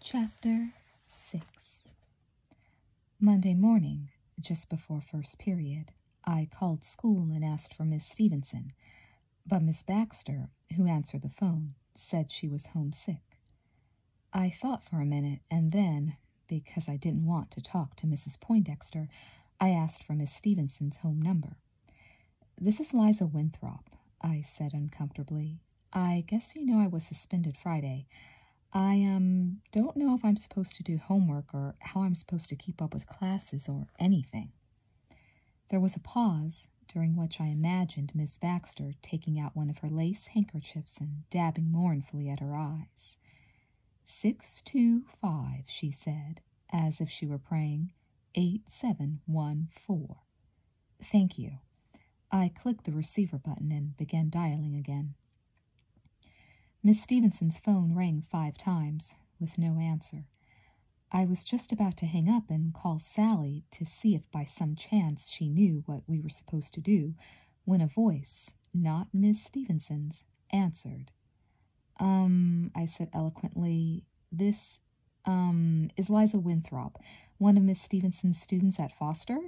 Chapter 6 Monday morning, just before first period, I called school and asked for Miss Stevenson, but Miss Baxter, who answered the phone, said she was homesick. I thought for a minute and then, because I didn't want to talk to Mrs. Poindexter, I asked for Miss Stevenson's home number. This is Liza Winthrop, I said uncomfortably. I guess you know I was suspended Friday. I um don't know if I'm supposed to do homework or how I'm supposed to keep up with classes or anything. There was a pause, during which I imagined Miss Baxter taking out one of her lace handkerchiefs and dabbing mournfully at her eyes. Six two five, she said, as if she were praying. Eight seven one four. Thank you. I clicked the receiver button and began dialing again. Miss Stevenson's phone rang five times, with no answer. I was just about to hang up and call Sally to see if by some chance she knew what we were supposed to do when a voice, not Miss Stevenson's, answered. Um, I said eloquently, this um, is Liza Winthrop, one of Miss Stevenson's students at Foster.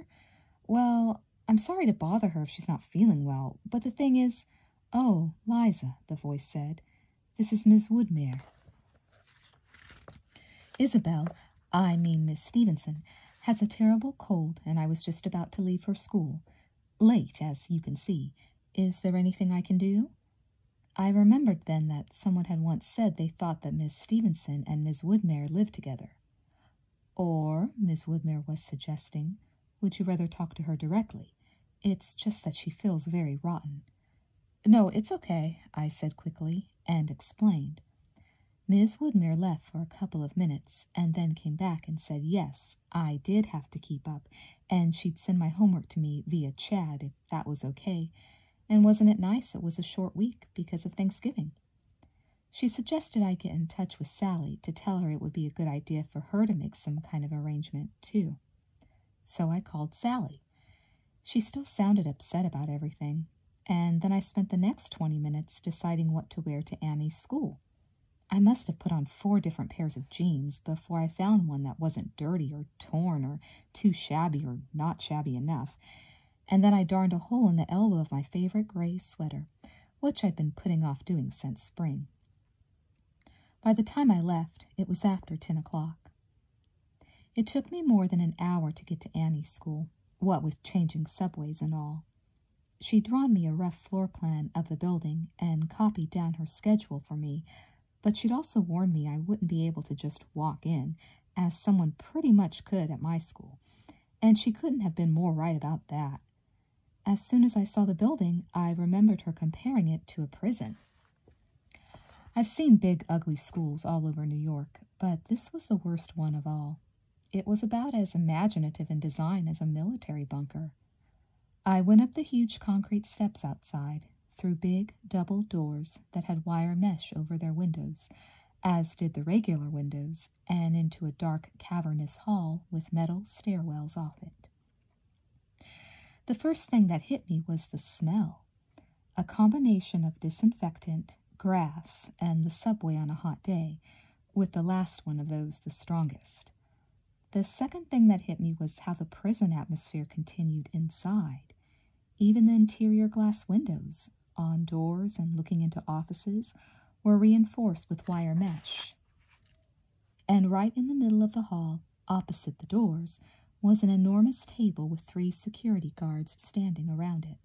Well, I'm sorry to bother her if she's not feeling well, but the thing is, oh, Liza, the voice said, this is Miss Woodmere. Isabel, I mean Miss Stevenson, has a terrible cold, and I was just about to leave her school. Late, as you can see. Is there anything I can do? I remembered then that someone had once said they thought that Miss Stevenson and Miss Woodmere lived together. Or, Miss Woodmere was suggesting, would you rather talk to her directly? It's just that she feels very rotten. No, it's okay, I said quickly, and explained. Miss Woodmere left for a couple of minutes, and then came back and said yes, I did have to keep up, and she'd send my homework to me via Chad if that was okay. And wasn't it nice? It was a short week because of Thanksgiving. She suggested I get in touch with Sally to tell her it would be a good idea for her to make some kind of arrangement, too. So I called Sally. She still sounded upset about everything, and then I spent the next 20 minutes deciding what to wear to Annie's school. I must have put on four different pairs of jeans before I found one that wasn't dirty or torn or too shabby or not shabby enough. And then I darned a hole in the elbow of my favorite gray sweater, which I'd been putting off doing since spring. By the time I left, it was after ten o'clock. It took me more than an hour to get to Annie's school, what with changing subways and all. She'd drawn me a rough floor plan of the building and copied down her schedule for me, but she'd also warned me I wouldn't be able to just walk in, as someone pretty much could at my school, and she couldn't have been more right about that. As soon as I saw the building, I remembered her comparing it to a prison. I've seen big, ugly schools all over New York, but this was the worst one of all. It was about as imaginative in design as a military bunker. I went up the huge concrete steps outside, through big double doors that had wire mesh over their windows, as did the regular windows, and into a dark, cavernous hall with metal stairwells off it. The first thing that hit me was the smell a combination of disinfectant, grass, and the subway on a hot day, with the last one of those the strongest. The second thing that hit me was how the prison atmosphere continued inside. Even the interior glass windows on doors and looking into offices were reinforced with wire mesh. And right in the middle of the hall, opposite the doors, was an enormous table with three security guards standing around it.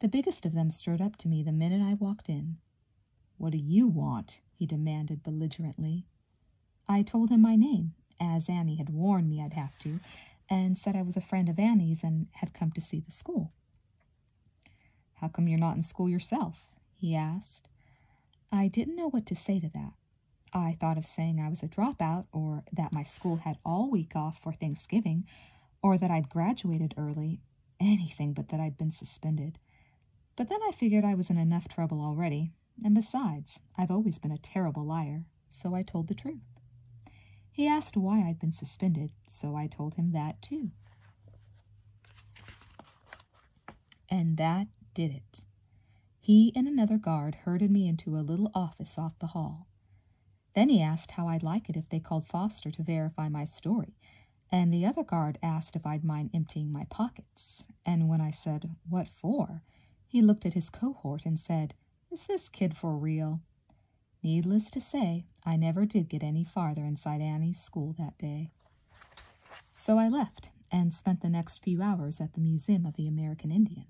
The biggest of them strode up to me the minute I walked in, what do you want? he demanded belligerently. I told him my name, as Annie had warned me I'd have to, and said I was a friend of Annie's and had come to see the school. How come you're not in school yourself? he asked. I didn't know what to say to that. I thought of saying I was a dropout, or that my school had all week off for Thanksgiving, or that I'd graduated early, anything but that I'd been suspended. But then I figured I was in enough trouble already, and besides, I've always been a terrible liar, so I told the truth. He asked why I'd been suspended, so I told him that too. And that did it. He and another guard herded me into a little office off the hall. Then he asked how I'd like it if they called Foster to verify my story, and the other guard asked if I'd mind emptying my pockets. And when I said, What for? he looked at his cohort and said, Is this kid for real? Needless to say, I never did get any farther inside Annie's school that day. So I left and spent the next few hours at the Museum of the American Indian.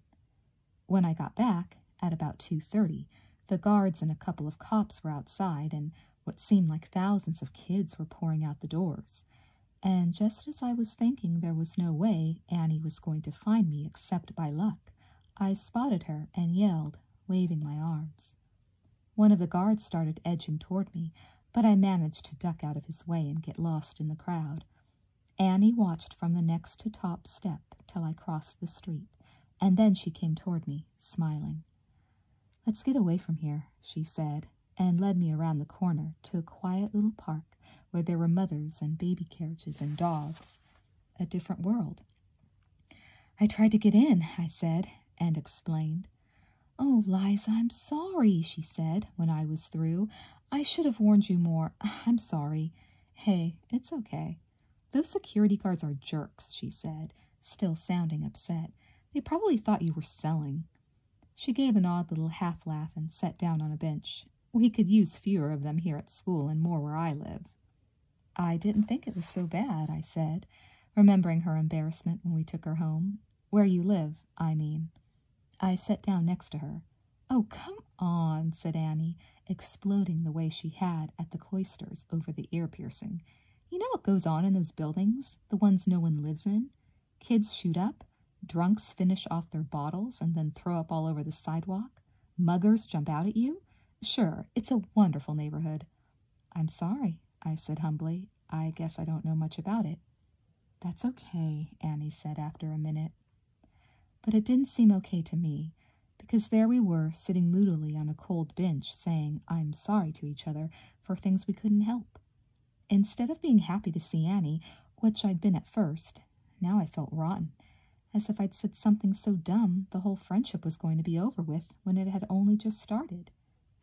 When I got back, at about 2.30, the guards and a couple of cops were outside and what seemed like thousands of kids were pouring out the doors and just as I was thinking there was no way Annie was going to find me except by luck, I spotted her and yelled, waving my arms. One of the guards started edging toward me, but I managed to duck out of his way and get lost in the crowd. Annie watched from the next to top step till I crossed the street, and then she came toward me, smiling. Let's get away from here, she said, and led me around the corner to a quiet little park where there were mothers and baby carriages and dogs. A different world. I tried to get in, I said, and explained. Oh, Liza, I'm sorry, she said when I was through. I should have warned you more. Ah, I'm sorry. Hey, it's okay. Those security guards are jerks, she said, still sounding upset. They probably thought you were selling. She gave an odd little half laugh and sat down on a bench. We could use fewer of them here at school and more where I live. I didn't think it was so bad, I said, remembering her embarrassment when we took her home. Where you live, I mean. I sat down next to her. Oh, come on, said Annie, exploding the way she had at the cloisters over the ear piercing. You know what goes on in those buildings, the ones no one lives in? Kids shoot up, drunks finish off their bottles and then throw up all over the sidewalk, muggers jump out at you. Sure, it's a wonderful neighborhood. I'm sorry, I said humbly. I guess I don't know much about it. That's okay, Annie said after a minute. But it didn't seem okay to me, because there we were, sitting moodily on a cold bench, saying, I'm sorry to each other for things we couldn't help. Instead of being happy to see Annie, which I'd been at first, now I felt rotten, as if I'd said something so dumb the whole friendship was going to be over with when it had only just started.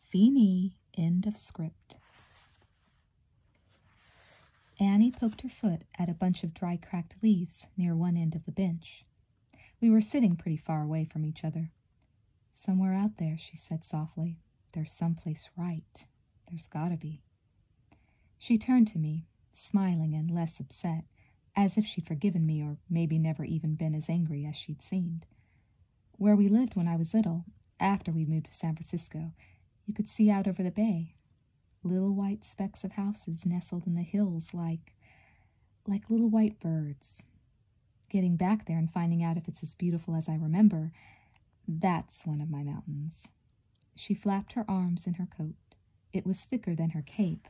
Feenie. end of script. Annie poked her foot at a bunch of dry cracked leaves near one end of the bench. We were sitting pretty far away from each other. Somewhere out there, she said softly. There's some place right. There's gotta be. She turned to me, smiling and less upset, as if she'd forgiven me or maybe never even been as angry as she'd seemed. Where we lived when I was little, after we moved to San Francisco, you could see out over the bay. Little white specks of houses nestled in the hills like, like little white birds. Getting back there and finding out if it's as beautiful as I remember, that's one of my mountains. She flapped her arms in her coat. It was thicker than her cape.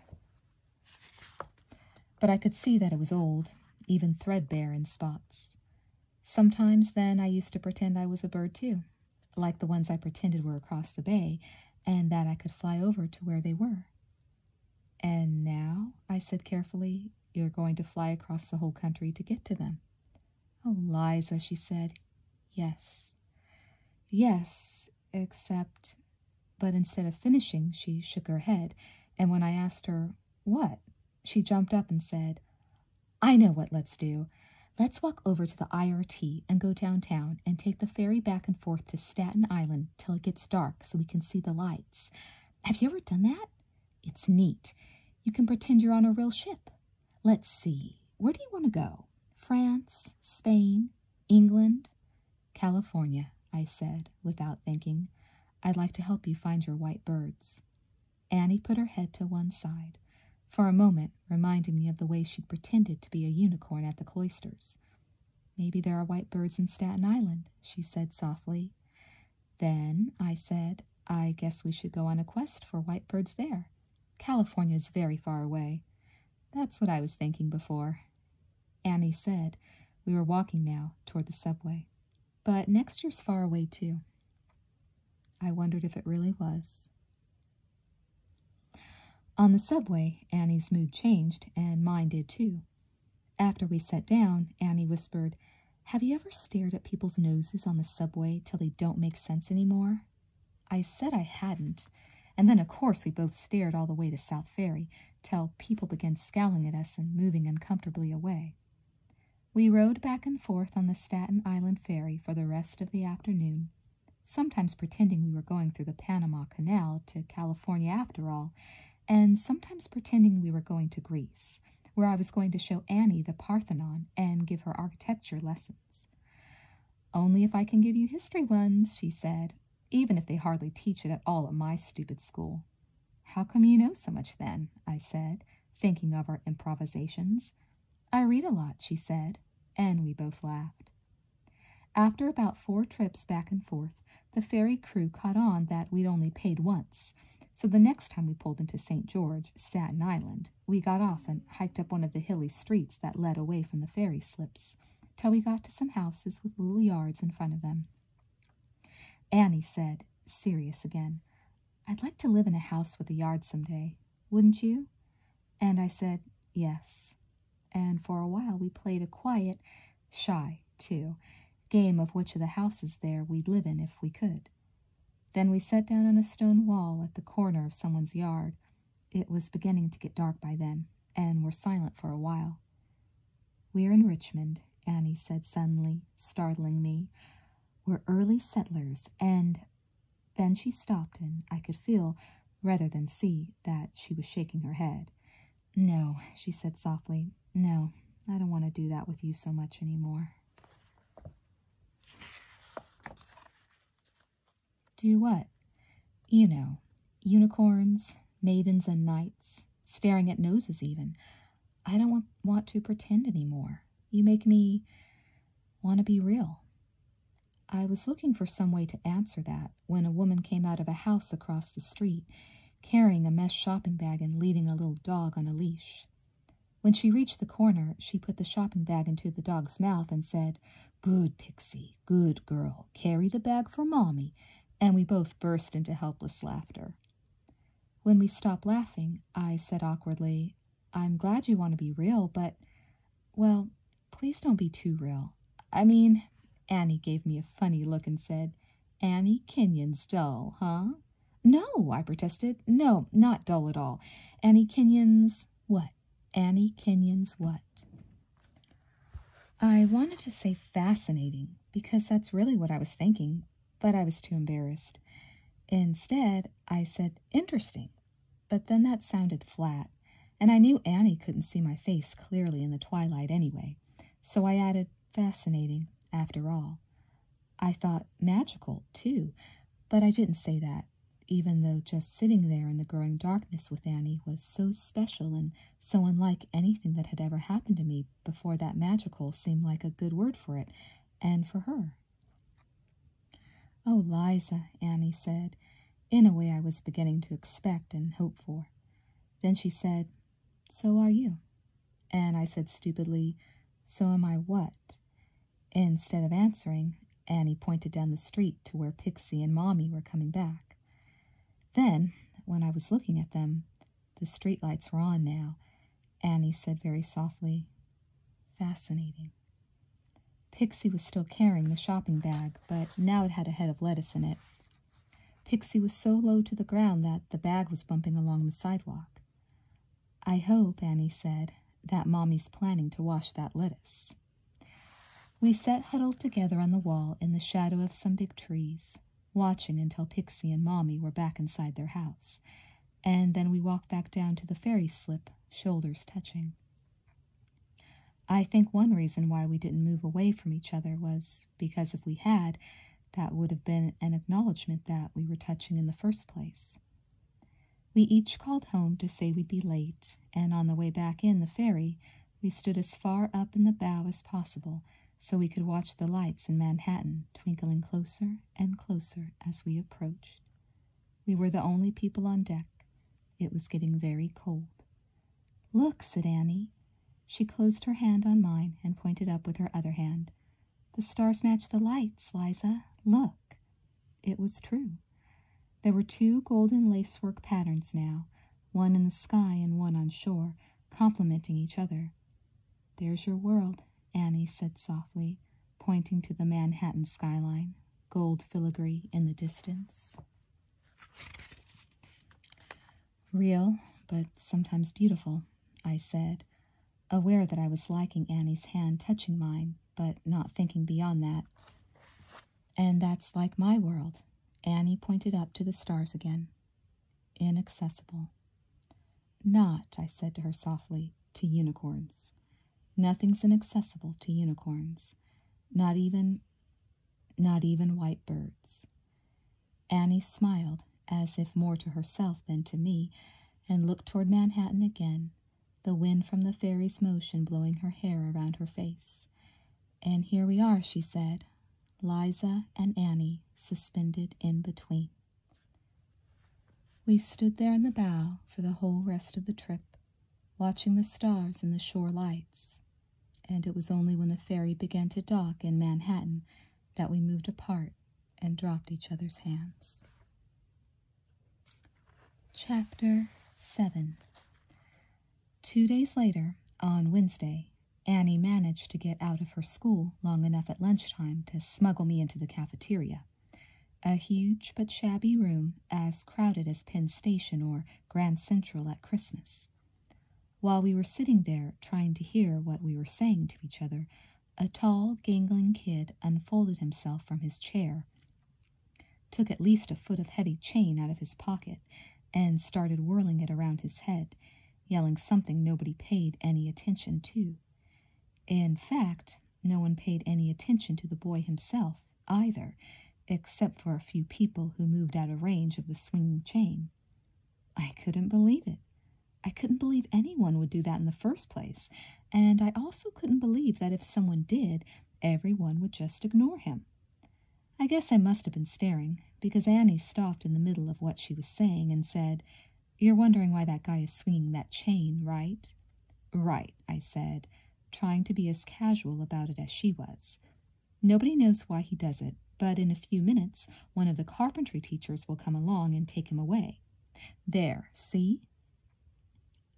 But I could see that it was old, even threadbare in spots. Sometimes then I used to pretend I was a bird too, like the ones I pretended were across the bay, and that I could fly over to where they were. And now, I said carefully, you're going to fly across the whole country to get to them. Oh, Liza, she said. Yes. Yes, except. But instead of finishing, she shook her head, and when I asked her, What? she jumped up and said, I know what let's do. Let's walk over to the IRT and go downtown and take the ferry back and forth to Staten Island till it gets dark so we can see the lights. Have you ever done that? It's neat. You can pretend you're on a real ship. Let's see, where do you want to go? France, Spain, England? California, I said, without thinking. I'd like to help you find your white birds. Annie put her head to one side, for a moment reminding me of the way she'd pretended to be a unicorn at the cloisters. Maybe there are white birds in Staten Island, she said softly. Then I said, I guess we should go on a quest for white birds." there. California's very far away. That's what I was thinking before. Annie said, we were walking now toward the subway. But next year's far away too. I wondered if it really was. On the subway, Annie's mood changed, and mine did too. After we sat down, Annie whispered, have you ever stared at people's noses on the subway till they don't make sense anymore? I said I hadn't, and then of course we both stared all the way to South Ferry till people began scowling at us and moving uncomfortably away. We rode back and forth on the Staten Island ferry for the rest of the afternoon, sometimes pretending we were going through the Panama Canal to California after all, and sometimes pretending we were going to Greece, where I was going to show Annie the Parthenon and give her architecture lessons. Only if I can give you history ones, she said, even if they hardly teach it at all at my stupid school. How come you know so much then? I said, thinking of our improvisations. I read a lot, she said, and we both laughed. After about four trips back and forth, the ferry crew caught on that we'd only paid once, so the next time we pulled into St. George, Staten Island, we got off and hiked up one of the hilly streets that led away from the ferry slips, till we got to some houses with little yards in front of them. Annie said, serious again, I'd like to live in a house with a yard some day, wouldn't you? And I said, yes. And for a while we played a quiet, shy, too, game of which of the houses there we'd live in if we could. Then we sat down on a stone wall at the corner of someone's yard. It was beginning to get dark by then, and were silent for a while. We're in Richmond, Annie said suddenly, startling me. We're early settlers, and then she stopped, and I could feel, rather than see, that she was shaking her head. No, she said softly. No, I don't want to do that with you so much anymore. Do what? You know, unicorns, maidens and knights, staring at noses even. I don't want to pretend anymore. You make me want to be real. I was looking for some way to answer that when a woman came out of a house across the street, carrying a mesh shopping bag and leading a little dog on a leash. When she reached the corner, she put the shopping bag into the dog's mouth and said, Good, Pixie, good girl, carry the bag for Mommy, and we both burst into helpless laughter. When we stopped laughing, I said awkwardly, I'm glad you want to be real, but, well, please don't be too real. I mean, Annie gave me a funny look and said, Annie Kenyon's doll, huh? No, I protested. No, not dull at all. Annie Kenyon's what? Annie Kenyon's what? I wanted to say fascinating, because that's really what I was thinking, but I was too embarrassed. Instead, I said interesting, but then that sounded flat, and I knew Annie couldn't see my face clearly in the twilight anyway, so I added fascinating after all. I thought magical, too, but I didn't say that, even though just sitting there in the growing darkness with Annie was so special and so unlike anything that had ever happened to me before that magical seemed like a good word for it, and for her. Oh, Liza, Annie said, in a way I was beginning to expect and hope for. Then she said, So are you. And I said stupidly, So am I what? Instead of answering, Annie pointed down the street to where Pixie and Mommy were coming back. Then, when I was looking at them, the street lights were on now. Annie said very softly, Fascinating. Pixie was still carrying the shopping bag, but now it had a head of lettuce in it. Pixie was so low to the ground that the bag was bumping along the sidewalk. I hope, Annie said, that Mommy's planning to wash that lettuce. We sat huddled together on the wall in the shadow of some big trees, watching until Pixie and Mommy were back inside their house, and then we walked back down to the fairy slip, shoulders touching. I think one reason why we didn't move away from each other was because if we had, that would have been an acknowledgement that we were touching in the first place. We each called home to say we'd be late, and on the way back in the ferry, we stood as far up in the bow as possible so we could watch the lights in Manhattan twinkling closer and closer as we approached. We were the only people on deck. It was getting very cold. Look, said Annie. She closed her hand on mine and pointed up with her other hand. The stars match the lights, Liza. Look. It was true. There were two golden lacework patterns now, one in the sky and one on shore, complementing each other. There's your world, Annie said softly, pointing to the Manhattan skyline, gold filigree in the distance. Real, but sometimes beautiful, I said, aware that I was liking Annie's hand touching mine, but not thinking beyond that. And that's like my world. Annie pointed up to the stars again. Inaccessible. Not, I said to her softly, to unicorns. Nothing's inaccessible to unicorns. Not even, not even white birds. Annie smiled, as if more to herself than to me, and looked toward Manhattan again the wind from the fairy's motion blowing her hair around her face. And here we are, she said, Liza and Annie suspended in between. We stood there in the bow for the whole rest of the trip, watching the stars and the shore lights, and it was only when the ferry began to dock in Manhattan that we moved apart and dropped each other's hands. Chapter 7 Two days later, on Wednesday, Annie managed to get out of her school long enough at lunchtime to smuggle me into the cafeteria. A huge but shabby room, as crowded as Penn Station or Grand Central at Christmas. While we were sitting there trying to hear what we were saying to each other, a tall, gangling kid unfolded himself from his chair, took at least a foot of heavy chain out of his pocket, and started whirling it around his head, yelling something nobody paid any attention to. In fact, no one paid any attention to the boy himself, either, except for a few people who moved out of range of the swinging chain. I couldn't believe it. I couldn't believe anyone would do that in the first place, and I also couldn't believe that if someone did, everyone would just ignore him. I guess I must have been staring, because Annie stopped in the middle of what she was saying and said, You're wondering why that guy is swinging that chain, right? Right, I said, trying to be as casual about it as she was. Nobody knows why he does it, but in a few minutes, one of the carpentry teachers will come along and take him away. There, see?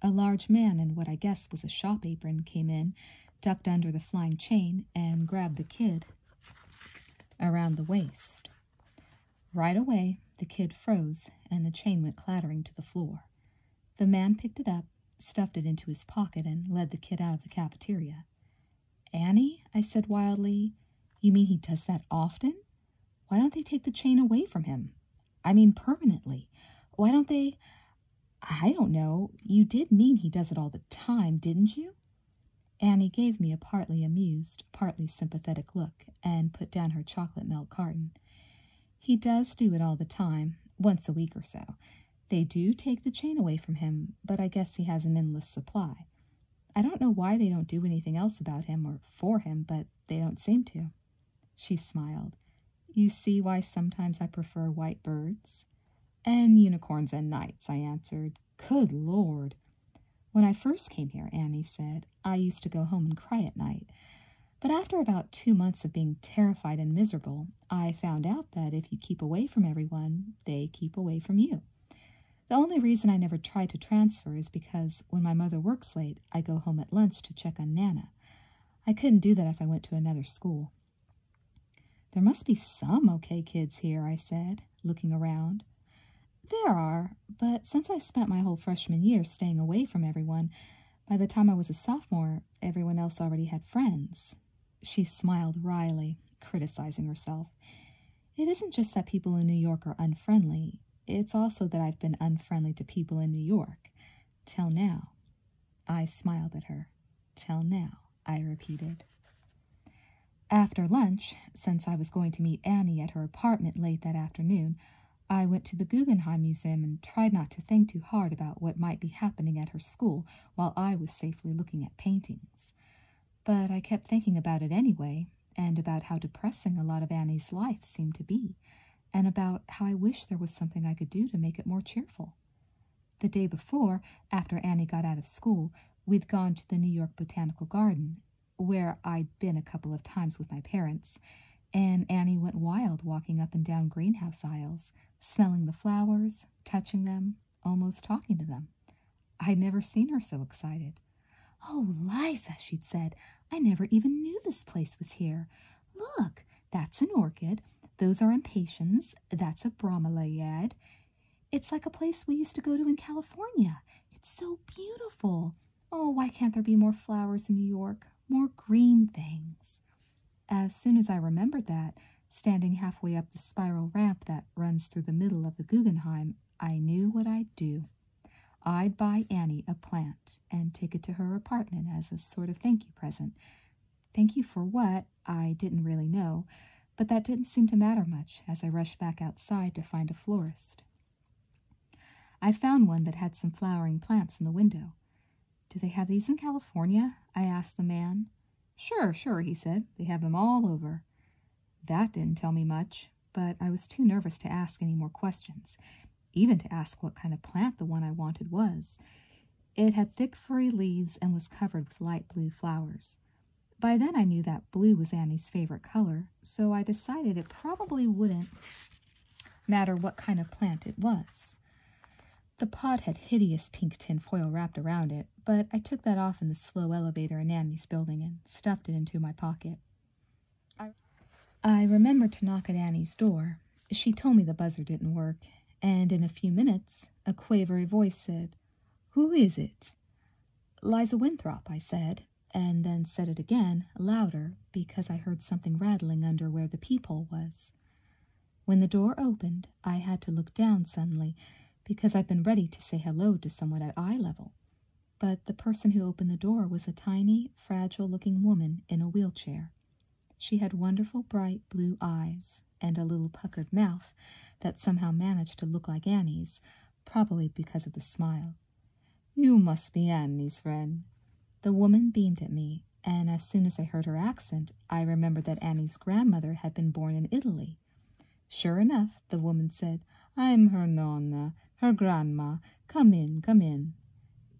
A large man in what I guess was a shop apron came in, ducked under the flying chain, and grabbed the kid around the waist. Right away, the kid froze, and the chain went clattering to the floor. The man picked it up, stuffed it into his pocket, and led the kid out of the cafeteria. Annie, I said wildly, you mean he does that often? Why don't they take the chain away from him? I mean, permanently. Why don't they? I don't know. You did mean he does it all the time, didn't you? Annie gave me a partly amused, partly sympathetic look and put down her chocolate milk carton. He does do it all the time, once a week or so. They do take the chain away from him, but I guess he has an endless supply. I don't know why they don't do anything else about him or for him, but they don't seem to. She smiled. You see why sometimes I prefer white birds? And unicorns and knights, I answered. Good Lord. When I first came here, Annie said, I used to go home and cry at night. But after about two months of being terrified and miserable, I found out that if you keep away from everyone, they keep away from you. The only reason I never try to transfer is because when my mother works late, I go home at lunch to check on Nana. I couldn't do that if I went to another school. There must be some okay kids here, I said, looking around. There are, but since I spent my whole freshman year staying away from everyone, by the time I was a sophomore, everyone else already had friends. She smiled wryly, criticizing herself. It isn't just that people in New York are unfriendly, it's also that I've been unfriendly to people in New York. Till now. I smiled at her. Till now, I repeated. After lunch, since I was going to meet Annie at her apartment late that afternoon, I went to the Guggenheim Museum and tried not to think too hard about what might be happening at her school while I was safely looking at paintings. But I kept thinking about it anyway, and about how depressing a lot of Annie's life seemed to be, and about how I wished there was something I could do to make it more cheerful. The day before, after Annie got out of school, we'd gone to the New York Botanical Garden, where I'd been a couple of times with my parents, and Annie went wild walking up and down greenhouse aisles, smelling the flowers, touching them, almost talking to them. I'd never seen her so excited. Oh, Liza, she'd said, I never even knew this place was here. Look, that's an orchid. Those are impatiens. That's a bromeliad. It's like a place we used to go to in California. It's so beautiful. Oh, why can't there be more flowers in New York? More green things. As soon as I remembered that, standing halfway up the spiral ramp that runs through the middle of the Guggenheim, I knew what I'd do. I'd buy Annie a plant and take it to her apartment as a sort of thank you present. Thank you for what? I didn't really know, but that didn't seem to matter much as I rushed back outside to find a florist. I found one that had some flowering plants in the window. Do they have these in California? I asked the man. Sure, sure, he said. They have them all over. That didn't tell me much, but I was too nervous to ask any more questions even to ask what kind of plant the one I wanted was. It had thick furry leaves and was covered with light blue flowers. By then I knew that blue was Annie's favorite color, so I decided it probably wouldn't matter what kind of plant it was. The pot had hideous pink tinfoil wrapped around it, but I took that off in the slow elevator in Annie's building and stuffed it into my pocket. I, remembered to knock at Annie's door. She told me the buzzer didn't work, and in a few minutes a quavery voice said, Who is it? Liza Winthrop, I said, and then said it again, louder, because I heard something rattling under where the peephole was. When the door opened, I had to look down suddenly, because I'd been ready to say hello to someone at eye level. But the person who opened the door was a tiny, fragile-looking woman in a wheelchair. She had wonderful bright blue eyes and a little puckered mouth that somehow managed to look like Annie's, probably because of the smile. You must be Annie's friend. The woman beamed at me, and as soon as I heard her accent, I remembered that Annie's grandmother had been born in Italy. Sure enough, the woman said, I'm her nonna, her grandma, Come in, come in.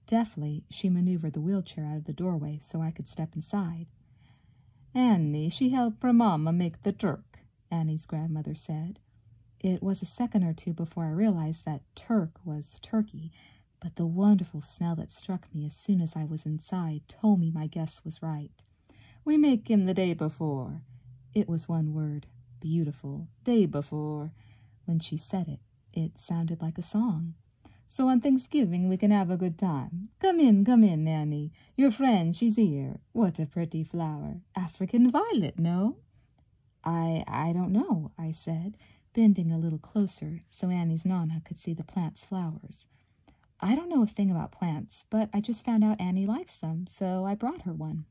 Deftly, she maneuvered the wheelchair out of the doorway so I could step inside. Annie, she helped her mamma make the Turk, Annie's grandmother said. It was a second or two before I realized that Turk was turkey, but the wonderful smell that struck me as soon as I was inside told me my guess was right. We make him the day before. It was one word, beautiful, day before, when she said it. It sounded like a song. So on Thanksgiving we can have a good time. Come in, come in, Annie. Your friend, she's here. What a pretty flower. African violet, no? I I don't know, I said, bending a little closer so Annie's Nana could see the plant's flowers. I don't know a thing about plants, but I just found out Annie likes them, so I brought her one.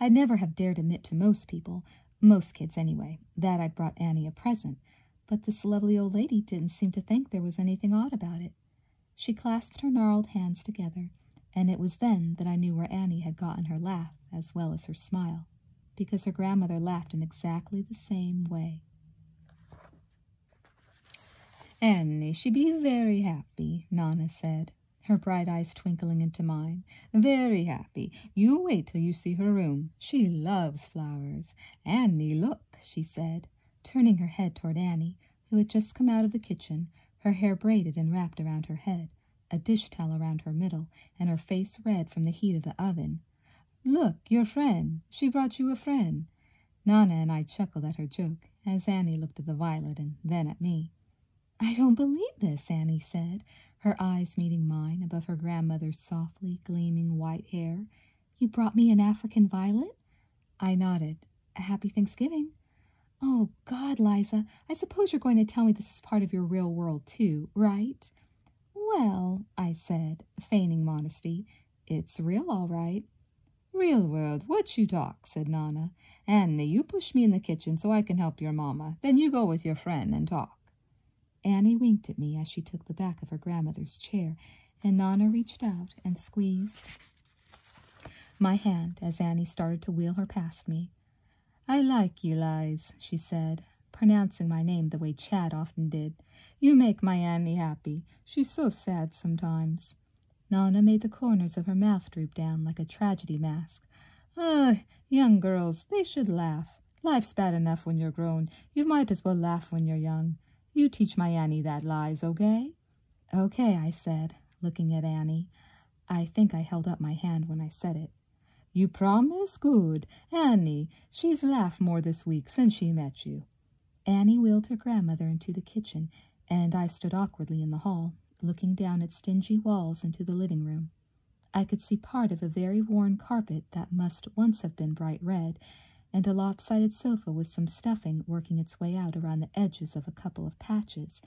I'd never have dared admit to most people most kids, anyway. That I would brought Annie a present, but this lovely old lady didn't seem to think there was anything odd about it. She clasped her gnarled hands together, and it was then that I knew where Annie had gotten her laugh as well as her smile, because her grandmother laughed in exactly the same way. Annie, she be very happy, Nana said, her bright eyes twinkling into mine. Very happy. You wait till you see her room. She loves flowers. Annie, look, she said, turning her head toward Annie, who had just come out of the kitchen, her hair braided and wrapped around her head, a dish towel around her middle, and her face red from the heat of the oven. Look, your friend. She brought you a friend. Nana and I chuckled at her joke as Annie looked at the violet and then at me. I don't believe this, Annie said, her eyes meeting mine above her grandmother's softly gleaming white hair. You brought me an African violet? I nodded. A happy Thanksgiving. Oh, God, Liza, I suppose you're going to tell me this is part of your real world, too, right? Well, I said, feigning modesty, it's real all right. Real world, what you talk, said Nana. Anna, you push me in the kitchen so I can help your mamma. Then you go with your friend and talk. Annie winked at me as she took the back of her grandmother's chair, and Nana reached out and squeezed my hand as Annie started to wheel her past me. I like you, Lies, she said, pronouncing my name the way Chad often did. You make my Annie happy. She's so sad sometimes. Nana made the corners of her mouth droop down like a tragedy mask. Ugh, young girls, they should laugh. Life's bad enough when you're grown. You might as well laugh when you're young. You teach my Annie that lies, okay? Okay, I said, looking at Annie. I think I held up my hand when I said it. You promise? Good. Annie, she's laughed more this week since she met you. Annie wheeled her grandmother into the kitchen, and I stood awkwardly in the hall, looking down at stingy walls into the living room. I could see part of a very worn carpet that must once have been bright red, and a lopsided sofa with some stuffing working its way out around the edges of a couple of patches,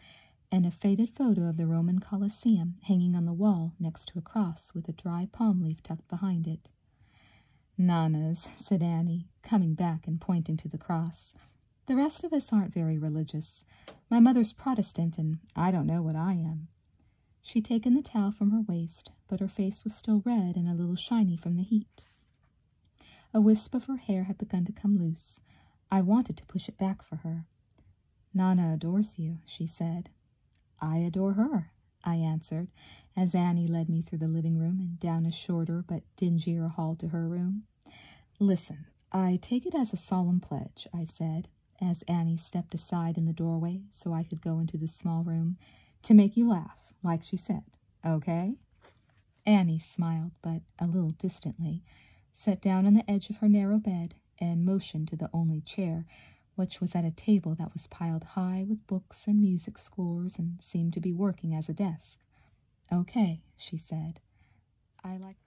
and a faded photo of the Roman Colosseum hanging on the wall next to a cross with a dry palm leaf tucked behind it. Nanas, said Annie, coming back and pointing to the cross. The rest of us aren't very religious. My mother's Protestant, and I don't know what I am. She'd taken the towel from her waist, but her face was still red and a little shiny from the heat. A wisp of her hair had begun to come loose. I wanted to push it back for her. Nana adores you, she said. I adore her, I answered, as Annie led me through the living room and down a shorter but dingier hall to her room. Listen, I take it as a solemn pledge, I said, as Annie stepped aside in the doorway so I could go into the small room, to make you laugh, like she said. Okay? Annie smiled, but a little distantly, sat down on the edge of her narrow bed, and motioned to the only chair, which was at a table that was piled high with books and music scores and seemed to be working as a desk. Okay, she said. I like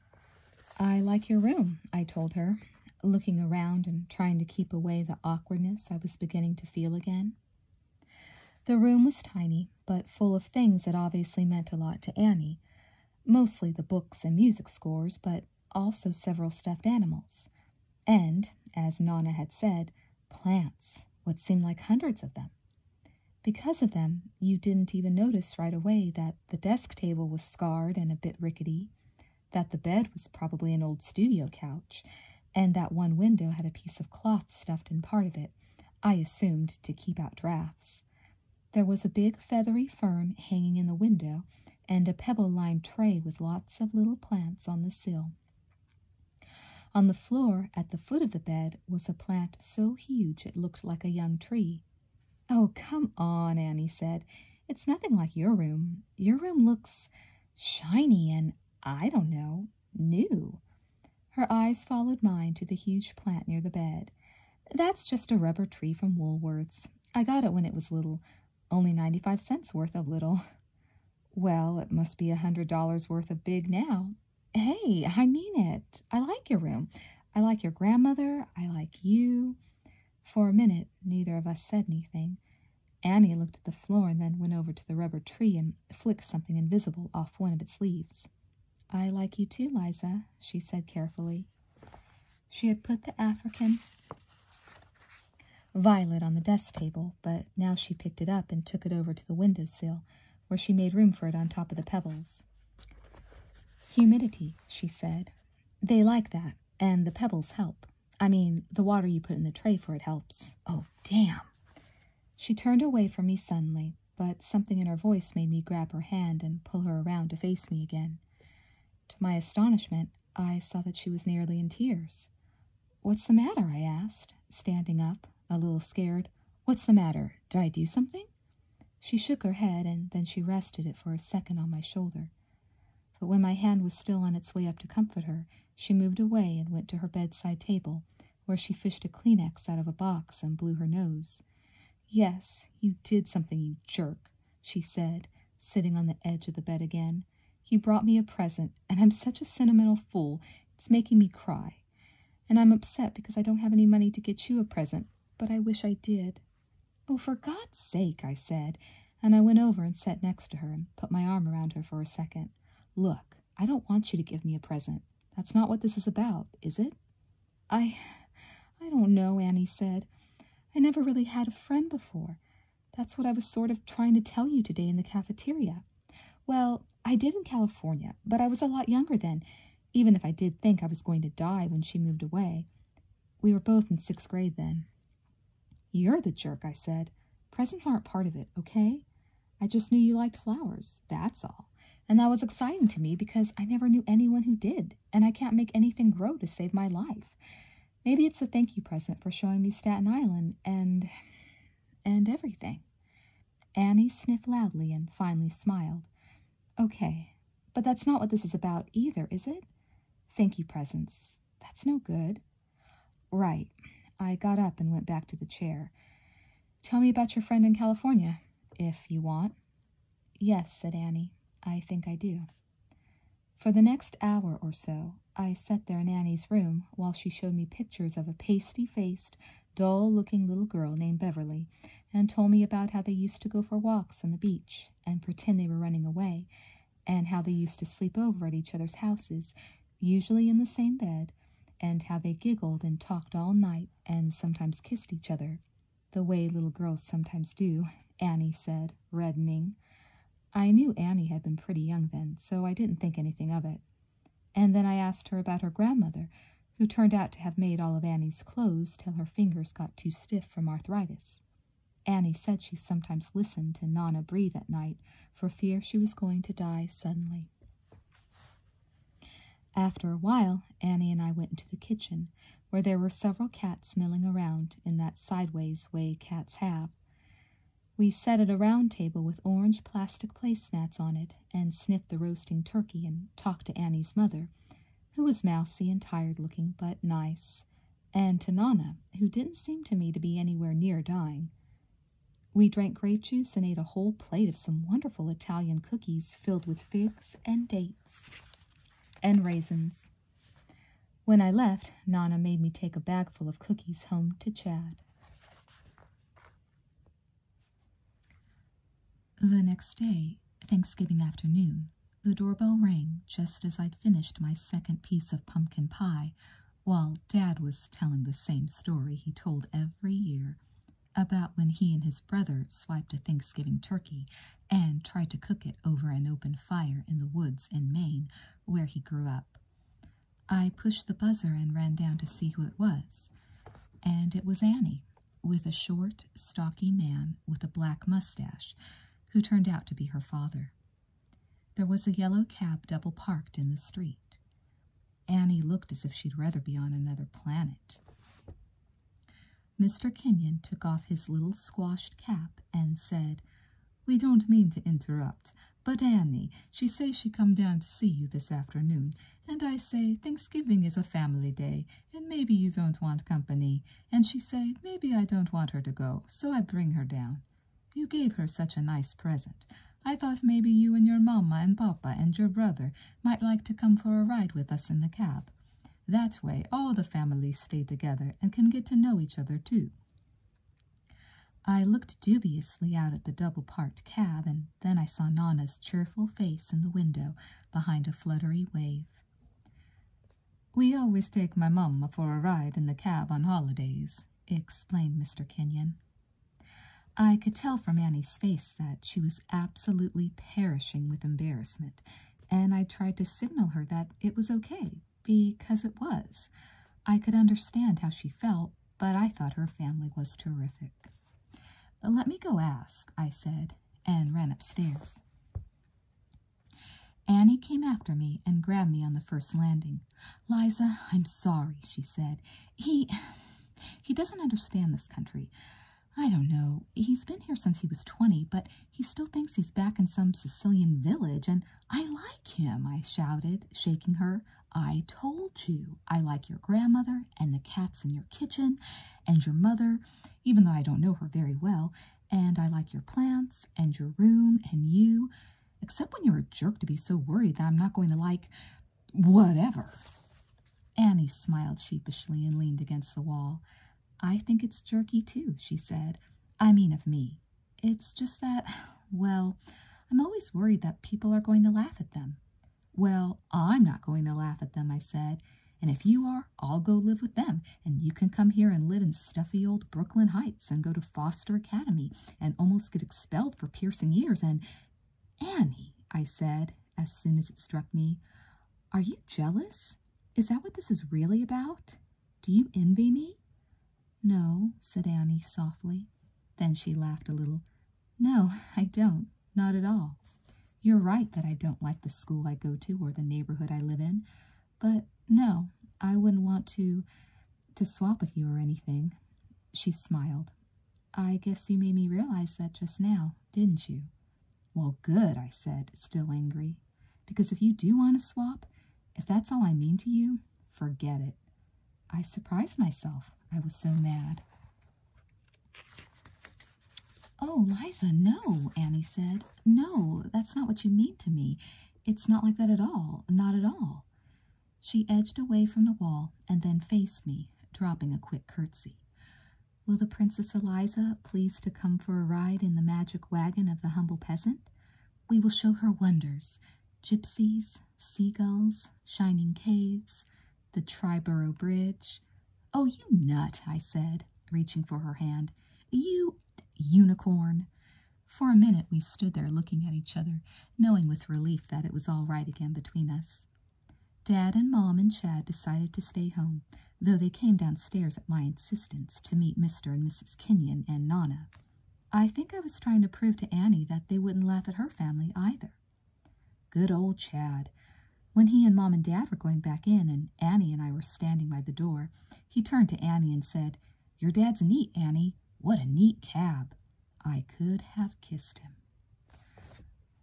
I like your room, I told her, looking around and trying to keep away the awkwardness I was beginning to feel again. The room was tiny, but full of things that obviously meant a lot to Annie mostly the books and music scores, but also several stuffed animals. And, as Nana had said, plants, what seemed like hundreds of them. Because of them, you didn't even notice right away that the desk table was scarred and a bit rickety, that the bed was probably an old studio couch, and that one window had a piece of cloth stuffed in part of it, I assumed to keep out drafts. There was a big feathery fern hanging in the window, and a pebble lined tray with lots of little plants on the sill. On the floor at the foot of the bed was a plant so huge it looked like a young tree. Oh, come on, Annie said. It's nothing like your room. Your room looks shiny and, I don't know, new. Her eyes followed mine to the huge plant near the bed. That's just a rubber tree from Woolworth's. I got it when it was little, only 95 cents worth of little. Well, it must be a $100 worth of big now. Hey, I mean it. I like your room. I like your grandmother. I like you. For a minute, neither of us said anything. Annie looked at the floor and then went over to the rubber tree and flicked something invisible off one of its leaves. I like you too, Liza, she said carefully. She had put the African violet on the desk table, but now she picked it up and took it over to the windowsill, where she made room for it on top of the pebbles. Humidity, she said. They like that, and the pebbles help. I mean, the water you put in the tray for it helps. Oh, damn. She turned away from me suddenly, but something in her voice made me grab her hand and pull her around to face me again. To my astonishment, I saw that she was nearly in tears. What's the matter? I asked, standing up, a little scared. What's the matter? Did I do something? She shook her head, and then she rested it for a second on my shoulder. But when my hand was still on its way up to comfort her, she moved away and went to her bedside table, where she fished a Kleenex out of a box and blew her nose. Yes, you did something, you jerk, she said, sitting on the edge of the bed again. He brought me a present, and I'm such a sentimental fool, it's making me cry. And I'm upset because I don't have any money to get you a present, but I wish I did. Oh, for God's sake, I said, and I went over and sat next to her and put my arm around her for a second. Look, I don't want you to give me a present. That's not what this is about, is it? I. I don't know, Annie said. I never really had a friend before. That's what I was sort of trying to tell you today in the cafeteria. Well, I did in California, but I was a lot younger then, even if I did think I was going to die when she moved away. We were both in sixth grade then. You're the jerk, I said. Presents aren't part of it, okay? I just knew you liked flowers, that's all. And that was exciting to me because I never knew anyone who did, and I can't make anything grow to save my life. Maybe it's a thank you present for showing me Staten Island and. and everything. Annie sniffed loudly and finally smiled. Okay, but that's not what this is about either, is it? Thank you presents. That's no good. Right. I got up and went back to the chair. Tell me about your friend in California, if you want. Yes, said Annie. I think I do. For the next hour or so, I sat there in Annie's room while she showed me pictures of a pasty-faced, dull-looking little girl named Beverly, and told me about how they used to go for walks on the beach and pretend they were running away, and how they used to sleep over at each other's houses, usually in the same bed, and how they giggled and talked all night and sometimes kissed each other, the way little girls sometimes do, Annie said, reddening. I knew Annie had been pretty young then, so I didn't think anything of it. And then I asked her about her grandmother, who turned out to have made all of Annie's clothes till her fingers got too stiff from arthritis. Annie said she sometimes listened to Nana breathe at night for fear she was going to die suddenly. After a while, Annie and I went into the kitchen, where there were several cats milling around in that sideways way cats have. We sat at a round table with orange plastic placemats on it and sniffed the roasting turkey and talked to Annie's mother, who was mousy and tired looking, but nice, and to Nana, who didn't seem to me to be anywhere near dying. We drank grape juice and ate a whole plate of some wonderful Italian cookies filled with figs and dates and raisins. When I left, Nana made me take a bagful of cookies home to Chad. The next day, Thanksgiving afternoon, the doorbell rang just as I'd finished my second piece of pumpkin pie while Dad was telling the same story he told every year about when he and his brother swiped a Thanksgiving turkey and tried to cook it over an open fire in the woods in Maine where he grew up. I pushed the buzzer and ran down to see who it was, and it was Annie, with a short, stocky man with a black mustache, who turned out to be her father. There was a yellow cab double parked in the street. Annie looked as if she'd rather be on another planet. Mr. Kenyon took off his little squashed cap and said, We don't mean to interrupt, but Annie, she say she come down to see you this afternoon, and I say Thanksgiving is a family day, and maybe you don't want company, and she say maybe I don't want her to go, so I bring her down. You gave her such a nice present. I thought maybe you and your mamma and papa and your brother might like to come for a ride with us in the cab. That way, all the families stay together and can get to know each other, too. I looked dubiously out at the double-parked cab, and then I saw Nana's cheerful face in the window behind a fluttery wave. We always take my mamma for a ride in the cab on holidays, explained Mr. Kenyon. I could tell from Annie's face that she was absolutely perishing with embarrassment, and I tried to signal her that it was okay, because it was. I could understand how she felt, but I thought her family was terrific. Let me go ask, I said, and ran upstairs. Annie came after me and grabbed me on the first landing. Liza, I'm sorry, she said. He he doesn't understand this country. I don't know. He's been here since he was 20, but he still thinks he's back in some Sicilian village, and I like him, I shouted, shaking her. I told you I like your grandmother and the cats in your kitchen and your mother, even though I don't know her very well, and I like your plants and your room and you except when you're a jerk to be so worried that I'm not going to like whatever. Annie smiled sheepishly and leaned against the wall. I think it's jerky too, she said. I mean of me. It's just that, well, I'm always worried that people are going to laugh at them. Well, I'm not going to laugh at them, I said. And if you are, I'll go live with them, and you can come here and live in stuffy old Brooklyn Heights and go to Foster Academy and almost get expelled for piercing ears. And Annie, I said as soon as it struck me, are you jealous? Is that what this is really about? Do you envy me? No, said Annie softly. Then she laughed a little. No, I don't, not at all. You're right that I don't like the school I go to or the neighborhood I live in, but no, I wouldn't want to to swap with you or anything. She smiled. I guess you made me realize that just now, didn't you? Well, good, I said, still angry. Because if you do want to swap, if that's all I mean to you, forget it. I surprised myself. I was so mad. Oh, Liza, no, Annie said. No, that's not what you mean to me. It's not like that at all. Not at all. She edged away from the wall and then faced me, dropping a quick curtsy. Will the Princess Eliza please to come for a ride in the magic wagon of the humble peasant? We will show her wonders gypsies, seagulls, shining caves, the Triborough Bridge. Oh, you nut, I said, reaching for her hand. You unicorn. For a minute we stood there looking at each other, knowing with relief that it was all right again between us. Dad and Mom and Chad decided to stay home, though they came downstairs at my insistence to meet Mr. and Mrs. Kenyon and Nana. I think I was trying to prove to Annie that they wouldn't laugh at her family either. Good old Chad. When he and Mom and Dad were going back in and Annie and I were standing by the door, he turned to Annie and said, Your dad's neat, Annie. What a neat cab. I could have kissed him.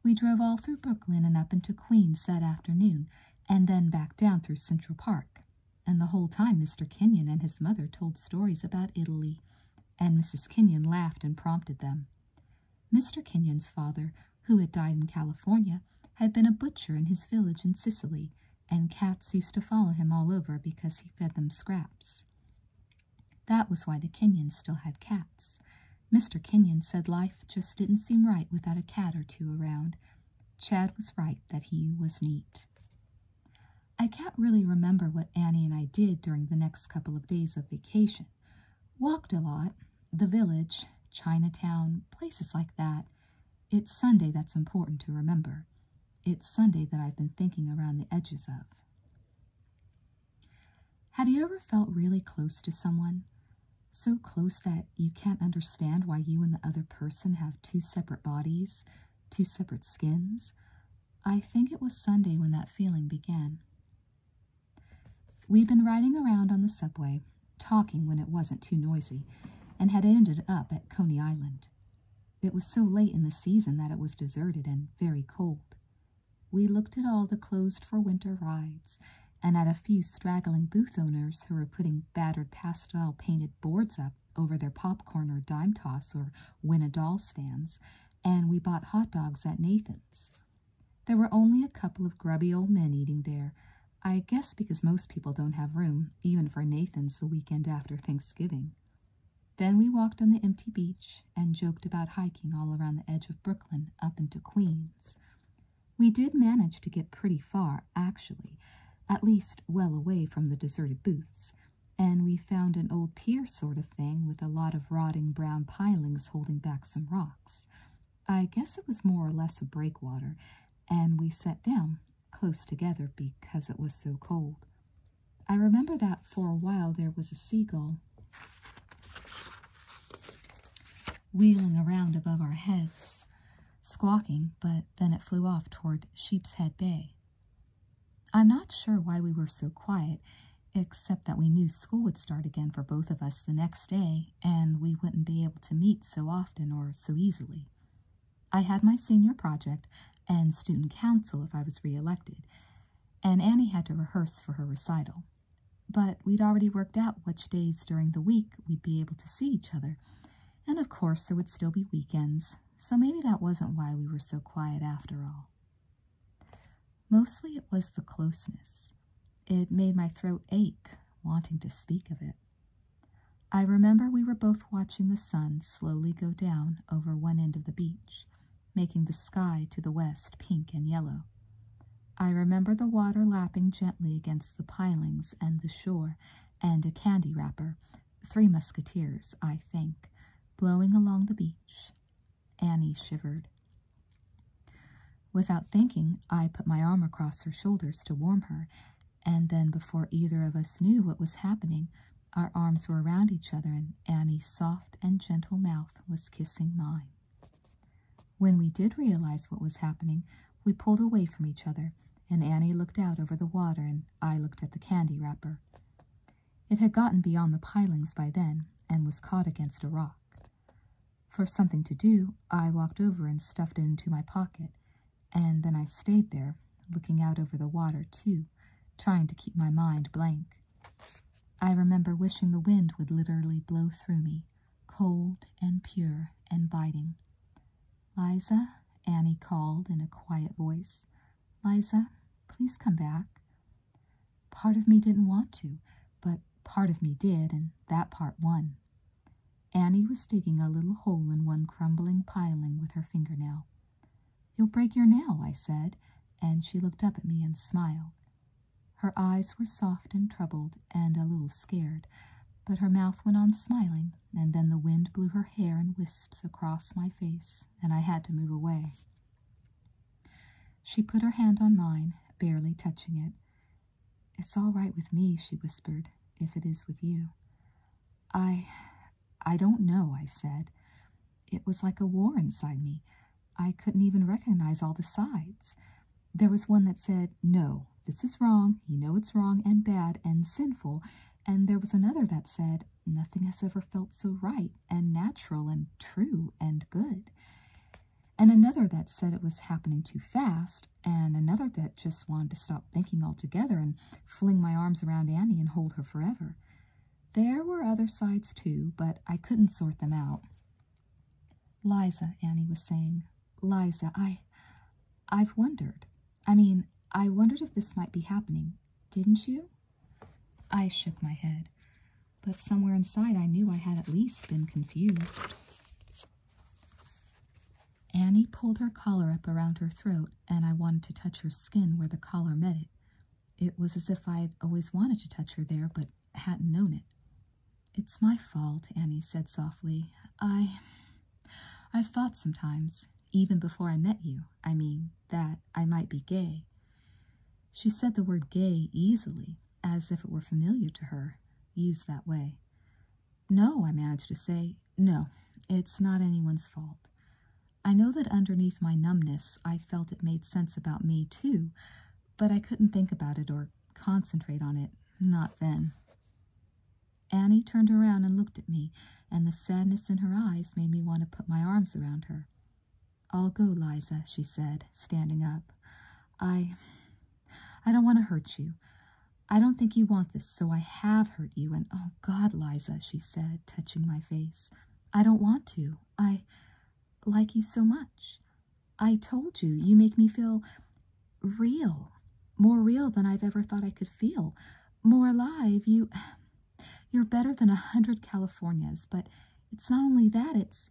We drove all through Brooklyn and up into Queens that afternoon, and then back down through Central Park. And the whole time Mr. Kenyon and his mother told stories about Italy, and Mrs. Kenyon laughed and prompted them. Mr. Kenyon's father, who had died in California, had been a butcher in his village in Sicily, and cats used to follow him all over because he fed them scraps. That was why the Kenyons still had cats. Mr. Kenyon said life just didn't seem right without a cat or two around. Chad was right that he was neat. I can't really remember what Annie and I did during the next couple of days of vacation. Walked a lot, the village, Chinatown, places like that. It's Sunday that's important to remember. It's Sunday that I've been thinking around the edges of. Have you ever felt really close to someone? So close that you can't understand why you and the other person have two separate bodies, two separate skins? I think it was Sunday when that feeling began. We'd been riding around on the subway, talking when it wasn't too noisy, and had ended up at Coney Island. It was so late in the season that it was deserted and very cold. We looked at all the closed for winter rides, and at a few straggling booth owners who were putting battered pastel painted boards up over their popcorn or dime toss or win a doll stands, and we bought hot dogs at Nathan's. There were only a couple of grubby old men eating there, I guess because most people don't have room, even for Nathan's the weekend after Thanksgiving. Then we walked on the empty beach and joked about hiking all around the edge of Brooklyn up into Queens. We did manage to get pretty far, actually, at least well away from the deserted booths, and we found an old pier sort of thing with a lot of rotting brown pilings holding back some rocks. I guess it was more or less a breakwater, and we sat down close together because it was so cold. I remember that for a while there was a seagull wheeling around above our heads, squawking, but then it flew off toward Sheep's Head Bay. I'm not sure why we were so quiet, except that we knew school would start again for both of us the next day, and we wouldn't be able to meet so often or so easily. I had my senior project and student council if I was reelected, and Annie had to rehearse for her recital. But we'd already worked out which days during the week we'd be able to see each other, and of course there would still be weekends, so maybe that wasn't why we were so quiet after all. Mostly it was the closeness. It made my throat ache, wanting to speak of it. I remember we were both watching the sun slowly go down over one end of the beach, making the sky to the west pink and yellow. I remember the water lapping gently against the pilings and the shore, and a candy wrapper, three musketeers, I think, blowing along the beach. Annie shivered. Without thinking, I put my arm across her shoulders to warm her, and then before either of us knew what was happening, our arms were around each other, and Annie's soft and gentle mouth was kissing mine. When we did realize what was happening, we pulled away from each other, and Annie looked out over the water, and I looked at the candy wrapper. It had gotten beyond the pilings by then, and was caught against a rock. For something to do, I walked over and stuffed it into my pocket, and then I stayed there, looking out over the water, too, trying to keep my mind blank. I remember wishing the wind would literally blow through me, cold and pure and biting. Liza, Annie called in a quiet voice. Liza, please come back. Part of me didn't want to, but part of me did, and that part won. Annie was digging a little hole in one crumbling piling with her fingernail. You'll break your nail, I said, and she looked up at me and smiled. Her eyes were soft and troubled and a little scared, but her mouth went on smiling, and then the wind blew her hair in wisps across my face, and I had to move away. She put her hand on mine, barely touching it. It's all right with me, she whispered, if it is with you. I I don't know, I said. It was like a war inside me. I couldn't even recognize all the sides. There was one that said, No, this is wrong, you know it's wrong and bad and sinful, and there was another that said, Nothing has ever felt so right and natural and true and good. And another that said it was happening too fast, and another that just wanted to stop thinking altogether and fling my arms around Annie and hold her forever. There were other sides too, but I couldn't sort them out. Liza, Annie was saying, Liza, I. I've wondered. I mean, I wondered if this might be happening, didn't you? I shook my head, but somewhere inside I knew I had at least been confused. Annie pulled her collar up around her throat, and I wanted to touch her skin where the collar met it, it was as if I'd always wanted to touch her there, but hadn't known it. It's my fault, Annie said softly. I. I've thought sometimes, even before I met you, I mean, that I might be gay. She said the word gay easily, as if it were familiar to her, used that way. No, I managed to say, no, it's not anyone's fault. I know that underneath my numbness, I felt it made sense about me too, but I couldn't think about it or concentrate on it, not then. Annie turned around and looked at me, and the sadness in her eyes made me want to put my arms around her. I'll go, Liza, she said, standing up. I. I don't want to hurt you. I don't think you want this, so I have hurt you, and oh God, Liza, she said, touching my face. I don't want to. I like you so much. I told you, you make me feel real, more real than I've ever thought I could feel, more alive. You, you're better than a hundred Californias, but it's not only that, it's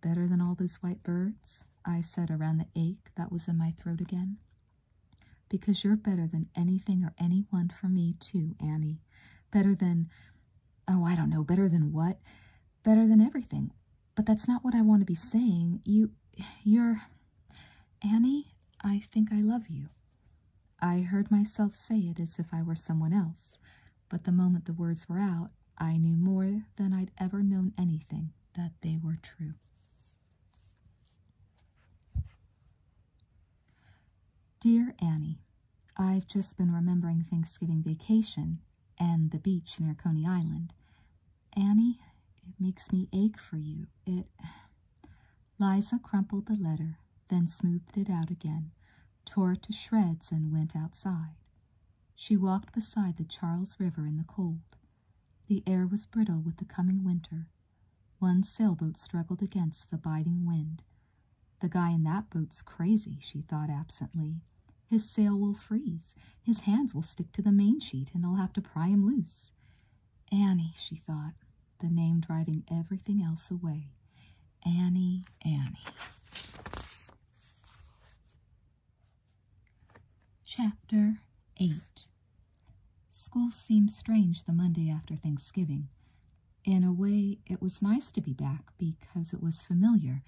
better than all those white birds, I said around the ache that was in my throat again. Because you're better than anything or anyone for me, too, Annie. Better than Oh, I don't know, better than what? Better than everything. But that's not what I want to be saying. You, you're... Annie, I think I love you. I heard myself say it as if I were someone else, but the moment the words were out, I knew more than I'd ever known anything that they were true. Dear Annie, I've just been remembering Thanksgiving vacation and the beach near Coney Island. Annie, it makes me ache for you. It. Liza crumpled the letter, then smoothed it out again, tore it to shreds, and went outside. She walked beside the Charles River in the cold. The air was brittle with the coming winter. One sailboat struggled against the biting wind, the guy in that boat's crazy, she thought absently. His sail will freeze, his hands will stick to the mainsheet, and they'll have to pry him loose. Annie, she thought, the name driving everything else away. Annie, Annie. Chapter 8 School seemed strange the Monday after Thanksgiving. In a way, it was nice to be back because it was familiar,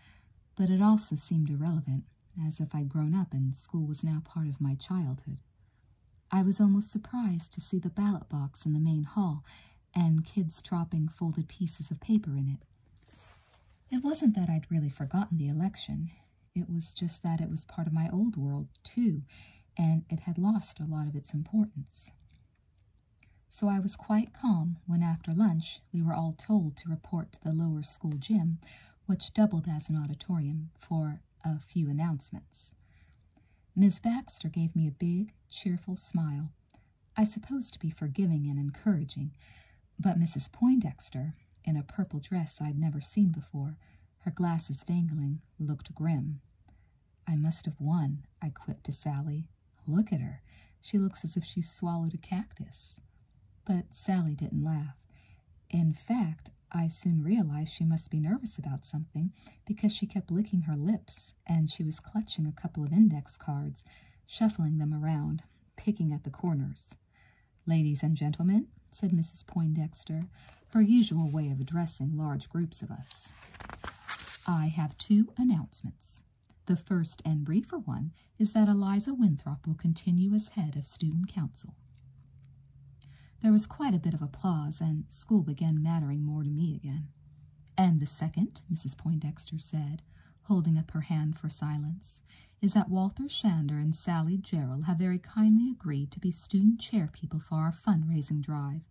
but it also seemed irrelevant, as if I'd grown up and school was now part of my childhood. I was almost surprised to see the ballot box in the main hall and kids dropping folded pieces of paper in it. It wasn't that I'd really forgotten the election. It was just that it was part of my old world, too, and it had lost a lot of its importance. So I was quite calm when, after lunch, we were all told to report to the lower school gym, which doubled as an auditorium, for a few announcements. Miss Baxter gave me a big, cheerful smile, I suppose to be forgiving and encouraging, but Mrs. Poindexter, in a purple dress I'd never seen before, her glasses dangling, looked grim. I must have won, I quipped to Sally, Look at her. She looks as if she swallowed a cactus. But Sally didn't laugh. In fact, I soon realized she must be nervous about something because she kept licking her lips and she was clutching a couple of index cards, shuffling them around, picking at the corners. Ladies and gentlemen, said Mrs. Poindexter, her usual way of addressing large groups of us, I have two announcements. The first and briefer one is that Eliza Winthrop will continue as head of student council. There was quite a bit of applause, and school began mattering more to me again. And the second, Mrs. Poindexter said, holding up her hand for silence, is that Walter Shander and Sally Gerald have very kindly agreed to be student chair people for our fundraising drive.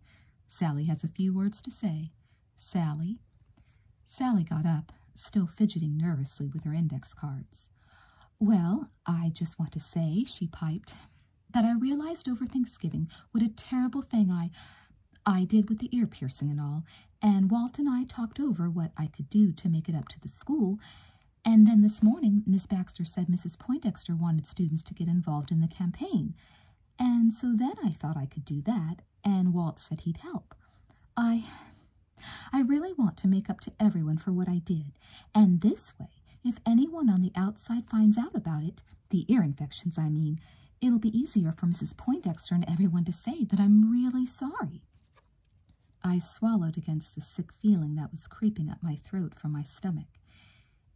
Sally has a few words to say, Sally? Sally got up, still fidgeting nervously with her index cards. Well, I just want to say, she piped, that I realized over Thanksgiving what a terrible thing I I did with the ear piercing and all, and Walt and I talked over what I could do to make it up to the school, and then this morning Miss Baxter said Mrs. Poindexter wanted students to get involved in the campaign, and so then I thought I could do that, and Walt said he'd help. I. I really want to make up to everyone for what I did, and this way, if anyone on the outside finds out about it, the ear infections, I mean, it'll be easier for Mrs. Poindexter and everyone to say that I'm really sorry. I swallowed against the sick feeling that was creeping up my throat from my stomach.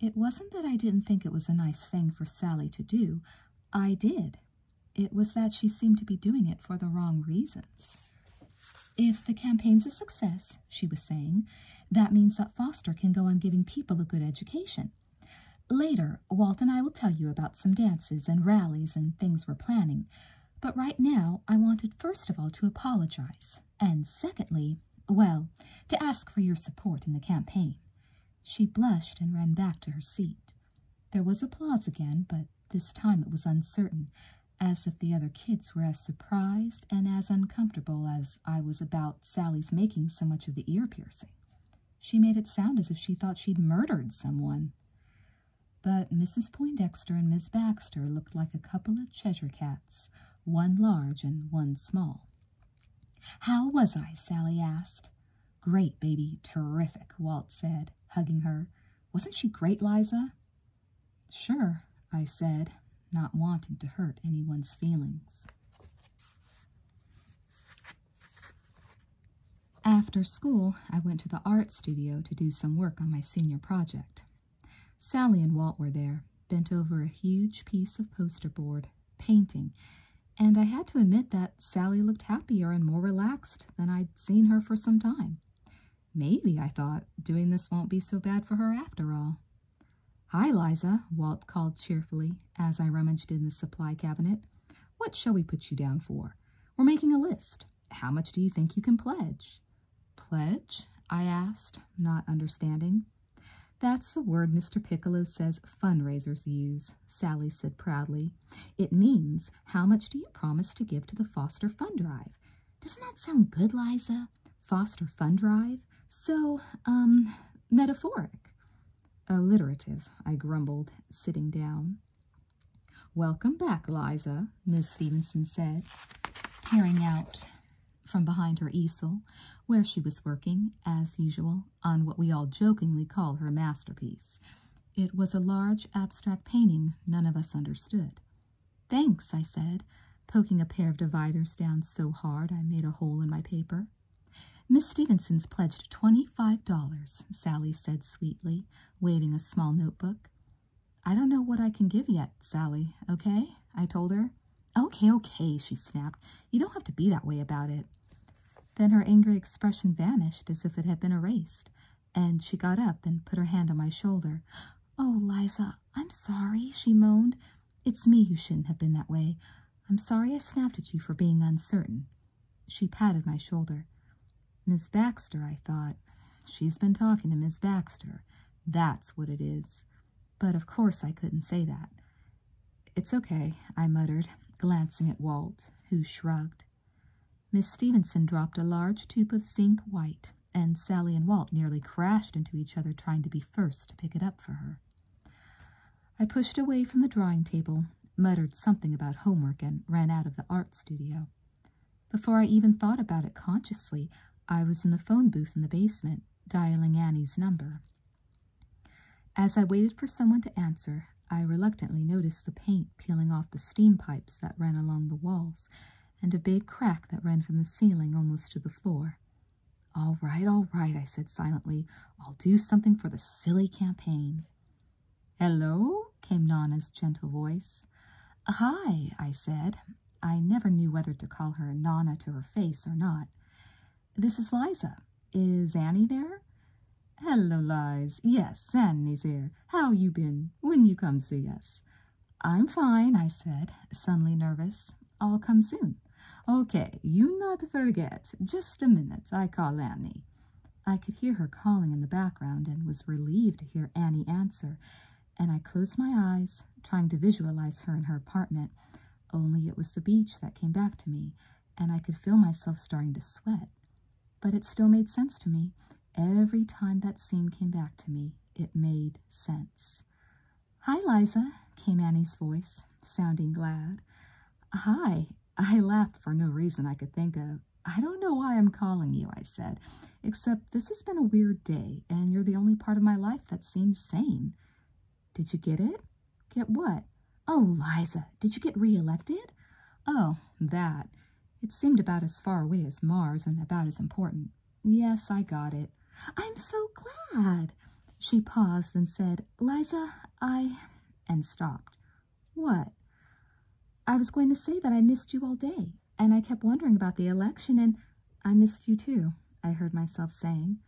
It wasn't that I didn't think it was a nice thing for Sally to do. I did, it was that she seemed to be doing it for the wrong reasons. If the campaign's a success, she was saying, that means that Foster can go on giving people a good education. Later, Walt and I will tell you about some dances and rallies and things we're planning, but right now I wanted first of all to apologize, and secondly, well, to ask for your support in the campaign. She blushed and ran back to her seat. There was applause again, but this time it was uncertain, as if the other kids were as surprised and as uncomfortable as I was about Sally's making so much of the ear piercing. She made it sound as if she thought she'd murdered someone. But Mrs. Poindexter and Miss Baxter looked like a couple of Cheshire cats, one large and one small. How was I? Sally asked. Great, baby. Terrific, Walt said, hugging her. Wasn't she great, Liza? Sure, I said, not wanting to hurt anyone's feelings. After school, I went to the art studio to do some work on my senior project. Sally and Walt were there, bent over a huge piece of poster board, painting, and I had to admit that Sally looked happier and more relaxed than I'd seen her for some time. Maybe, I thought, doing this won't be so bad for her after all. Hi, Liza, Walt called cheerfully as I rummaged in the supply cabinet. What shall we put you down for? We're making a list. How much do you think you can pledge? Pledge? I asked, not understanding. That's the word Mr. Piccolo says fundraisers use, Sally said proudly. It means, how much do you promise to give to the Foster Fund Drive? Doesn't that sound good, Liza? Foster Fund Drive? So, um, metaphoric. Alliterative, I grumbled, sitting down. Welcome back, Liza, Miss Stevenson said, peering out from behind her easel, where she was working, as usual, on what we all jokingly call her masterpiece. It was a large abstract painting none of us understood. Thanks, I said, poking a pair of dividers down so hard I made a hole in my paper. Miss Stevenson's pledged twenty-five dollars, Sally said sweetly, waving a small notebook. I don't know what I can give yet, Sally, okay? I told her. Okay, okay, she snapped. You don't have to be that way about it. Then her angry expression vanished as if it had been erased, and she got up and put her hand on my shoulder. Oh, Liza, I'm sorry, she moaned. It's me who shouldn't have been that way. I'm sorry I snapped at you for being uncertain. She patted my shoulder. Miss Baxter, I thought. She's been talking to Miss Baxter. That's what it is. But of course I couldn't say that. It's okay, I muttered, glancing at Walt, who shrugged. Miss Stevenson dropped a large tube of zinc white, and Sally and Walt nearly crashed into each other trying to be first to pick it up for her. I pushed away from the drawing table, muttered something about homework, and ran out of the art studio. Before I even thought about it consciously, I was in the phone booth in the basement, dialing Annie's number. As I waited for someone to answer, I reluctantly noticed the paint peeling off the steam pipes that ran along the walls, and a big crack that ran from the ceiling almost to the floor. All right, all right, I said silently. I'll do something for the silly campaign. Hello, came Nana's gentle voice. Hi, I said. I never knew whether to call her Nana to her face or not. This is Liza. Is Annie there? Hello, Lies. Yes, Annie's here. How you been? When you come see us? I'm fine, I said, suddenly nervous. I'll come soon. Okay, you not forget. Just a minute, I call Annie. I could hear her calling in the background and was relieved to hear Annie answer, and I closed my eyes, trying to visualize her in her apartment, only it was the beach that came back to me, and I could feel myself starting to sweat. But it still made sense to me. Every time that scene came back to me, it made sense. Hi, Liza, came Annie's voice, sounding glad. Hi, I laughed for no reason I could think of. I don't know why I'm calling you, I said, except this has been a weird day, and you're the only part of my life that seems sane. Did you get it? Get what? Oh, Liza, did you get re-elected? Oh, that. It seemed about as far away as Mars and about as important. Yes, I got it. I'm so glad. She paused and said, Liza, I... and stopped. What? I was going to say that I missed you all day, and I kept wondering about the election, and I missed you too, I heard myself saying.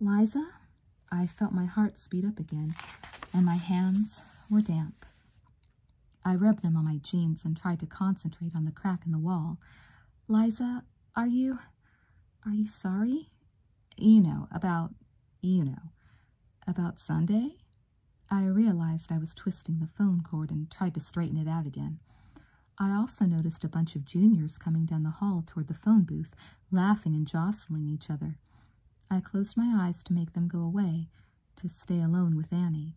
Liza, I felt my heart speed up again, and my hands were damp. I rubbed them on my jeans and tried to concentrate on the crack in the wall. Liza, are you. are you sorry? You know, about. you know. About Sunday? I realized I was twisting the phone cord and tried to straighten it out again. I also noticed a bunch of juniors coming down the hall toward the phone booth, laughing and jostling each other. I closed my eyes to make them go away, to stay alone with Annie.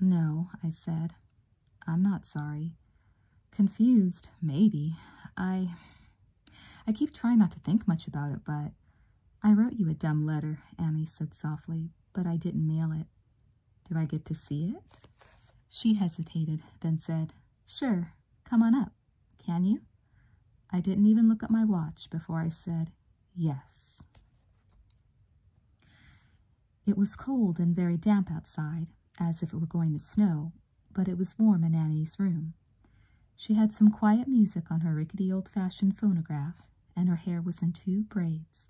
No, I said. I'm not sorry. Confused, maybe. I. I keep trying not to think much about it, but. I wrote you a dumb letter, Annie said softly, but I didn't mail it. Do I get to see it? She hesitated, then said, Sure, come on up. Can you? I didn't even look at my watch before I said yes. It was cold and very damp outside, as if it were going to snow, but it was warm in Annie's room. She had some quiet music on her rickety old-fashioned phonograph, and her hair was in two braids,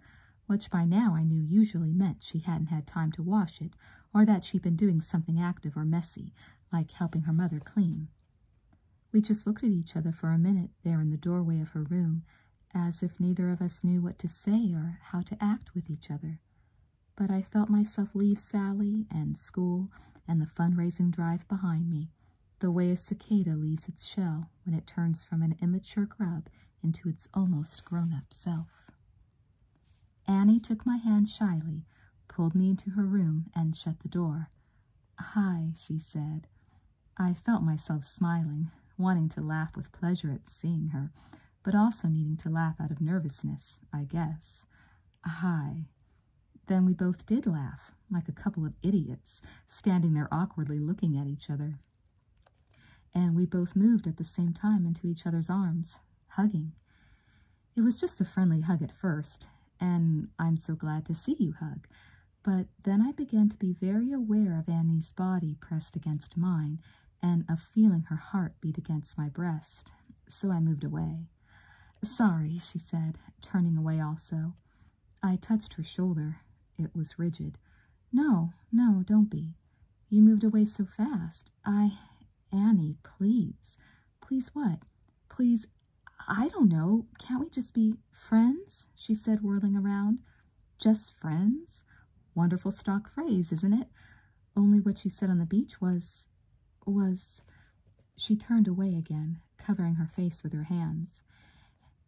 which by now I knew usually meant she hadn't had time to wash it, or that she'd been doing something active or messy, like helping her mother clean. We just looked at each other for a minute there in the doorway of her room, as if neither of us knew what to say or how to act with each other. But I felt myself leave Sally and school and the fundraising drive behind me, the way a cicada leaves its shell when it turns from an immature grub into its almost grown up self. Annie took my hand shyly, pulled me into her room, and shut the door. Hi, she said. I felt myself smiling, wanting to laugh with pleasure at seeing her, but also needing to laugh out of nervousness, I guess. Hi. Then we both did laugh, like a couple of idiots, standing there awkwardly looking at each other. And we both moved at the same time into each other's arms, hugging. It was just a friendly hug at first, and I'm so glad to see you hug. But then I began to be very aware of Annie's body pressed against mine, and of feeling her heart beat against my breast, so I moved away. Sorry, she said, turning away also. I touched her shoulder. It was rigid. No, no, don't be. You moved away so fast. I. Annie, please. Please what? Please I don't know. Can't we just be friends? She said, whirling around. Just friends? Wonderful stock phrase, isn't it? Only what you said on the beach was. was. She turned away again, covering her face with her hands.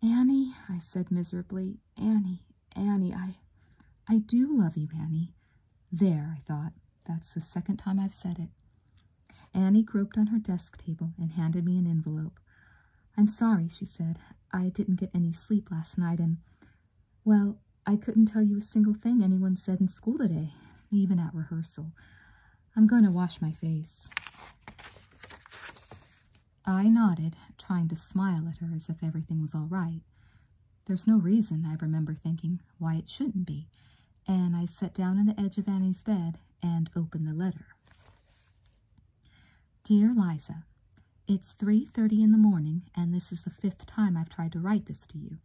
Annie, I said miserably. Annie, Annie, I. I do love you, Annie. There, I thought. That's the second time I've said it. Annie groped on her desk table and handed me an envelope. I'm sorry, she said. I didn't get any sleep last night, and well, I couldn't tell you a single thing anyone said in school today, even at rehearsal. I'm going to wash my face. I nodded, trying to smile at her as if everything was all right. There's no reason, I remember thinking, why it shouldn't be, and I sat down on the edge of Annie's bed and opened the letter. Dear Liza, it's 3:30 in the morning and this is the fifth time I've tried to write this to you.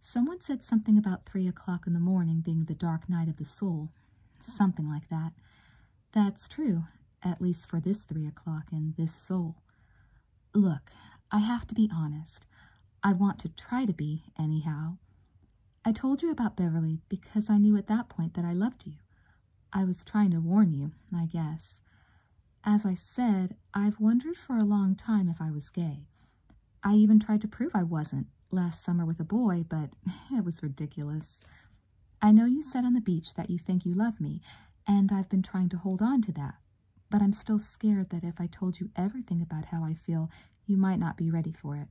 Someone said something about 3 o'clock in the morning being the dark night of the soul, something like that. That's true, at least for this 3 o'clock and this soul. Look, I have to be honest. I want to try to be, anyhow. I told you about Beverly because I knew at that point that I loved you. I was trying to warn you, I guess. As I said, I've wondered for a long time if I was gay. I even tried to prove I wasn't last summer with a boy, but it was ridiculous. I know you said on the beach that you think you love me, and I've been trying to hold on to that, but I'm still scared that if I told you everything about how I feel, you might not be ready for it.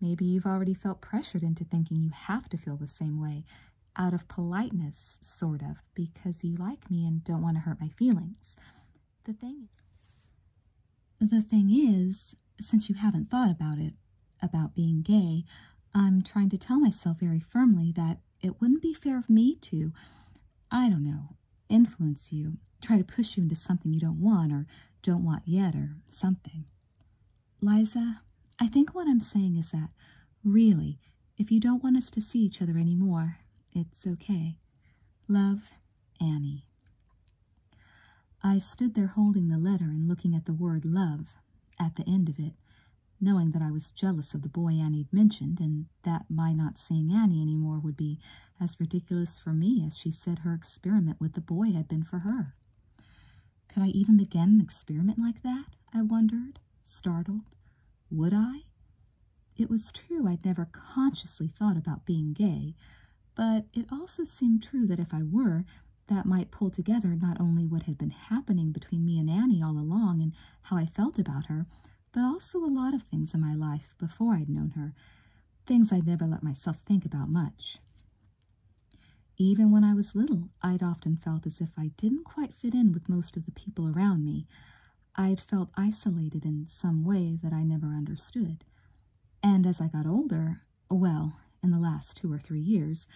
Maybe you've already felt pressured into thinking you have to feel the same way, out of politeness, sort of, because you like me and don't want to hurt my feelings. The thing, the thing is, since you haven't thought about it, about being gay, I'm trying to tell myself very firmly that it wouldn't be fair of me to, I don't know, influence you, try to push you into something you don't want or don't want yet or something. Liza, I think what I'm saying is that, really, if you don't want us to see each other any more, it's okay. Love, Annie. I stood there holding the letter and looking at the word love at the end of it, knowing that I was jealous of the boy Annie'd mentioned, and that my not seeing Annie any more would be as ridiculous for me as she said her experiment with the boy had been for her. Could I even begin an experiment like that? I wondered, startled. Would I? It was true I'd never consciously thought about being gay, but it also seemed true that if I were, that might pull together not only what had been happening between me and Annie all along and how I felt about her, but also a lot of things in my life before I'd known her, things I'd never let myself think about much. Even when I was little, I'd often felt as if I didn't quite fit in with most of the people around me. I'd felt isolated in some way that I never understood. And as I got older, well, in the last two or three years,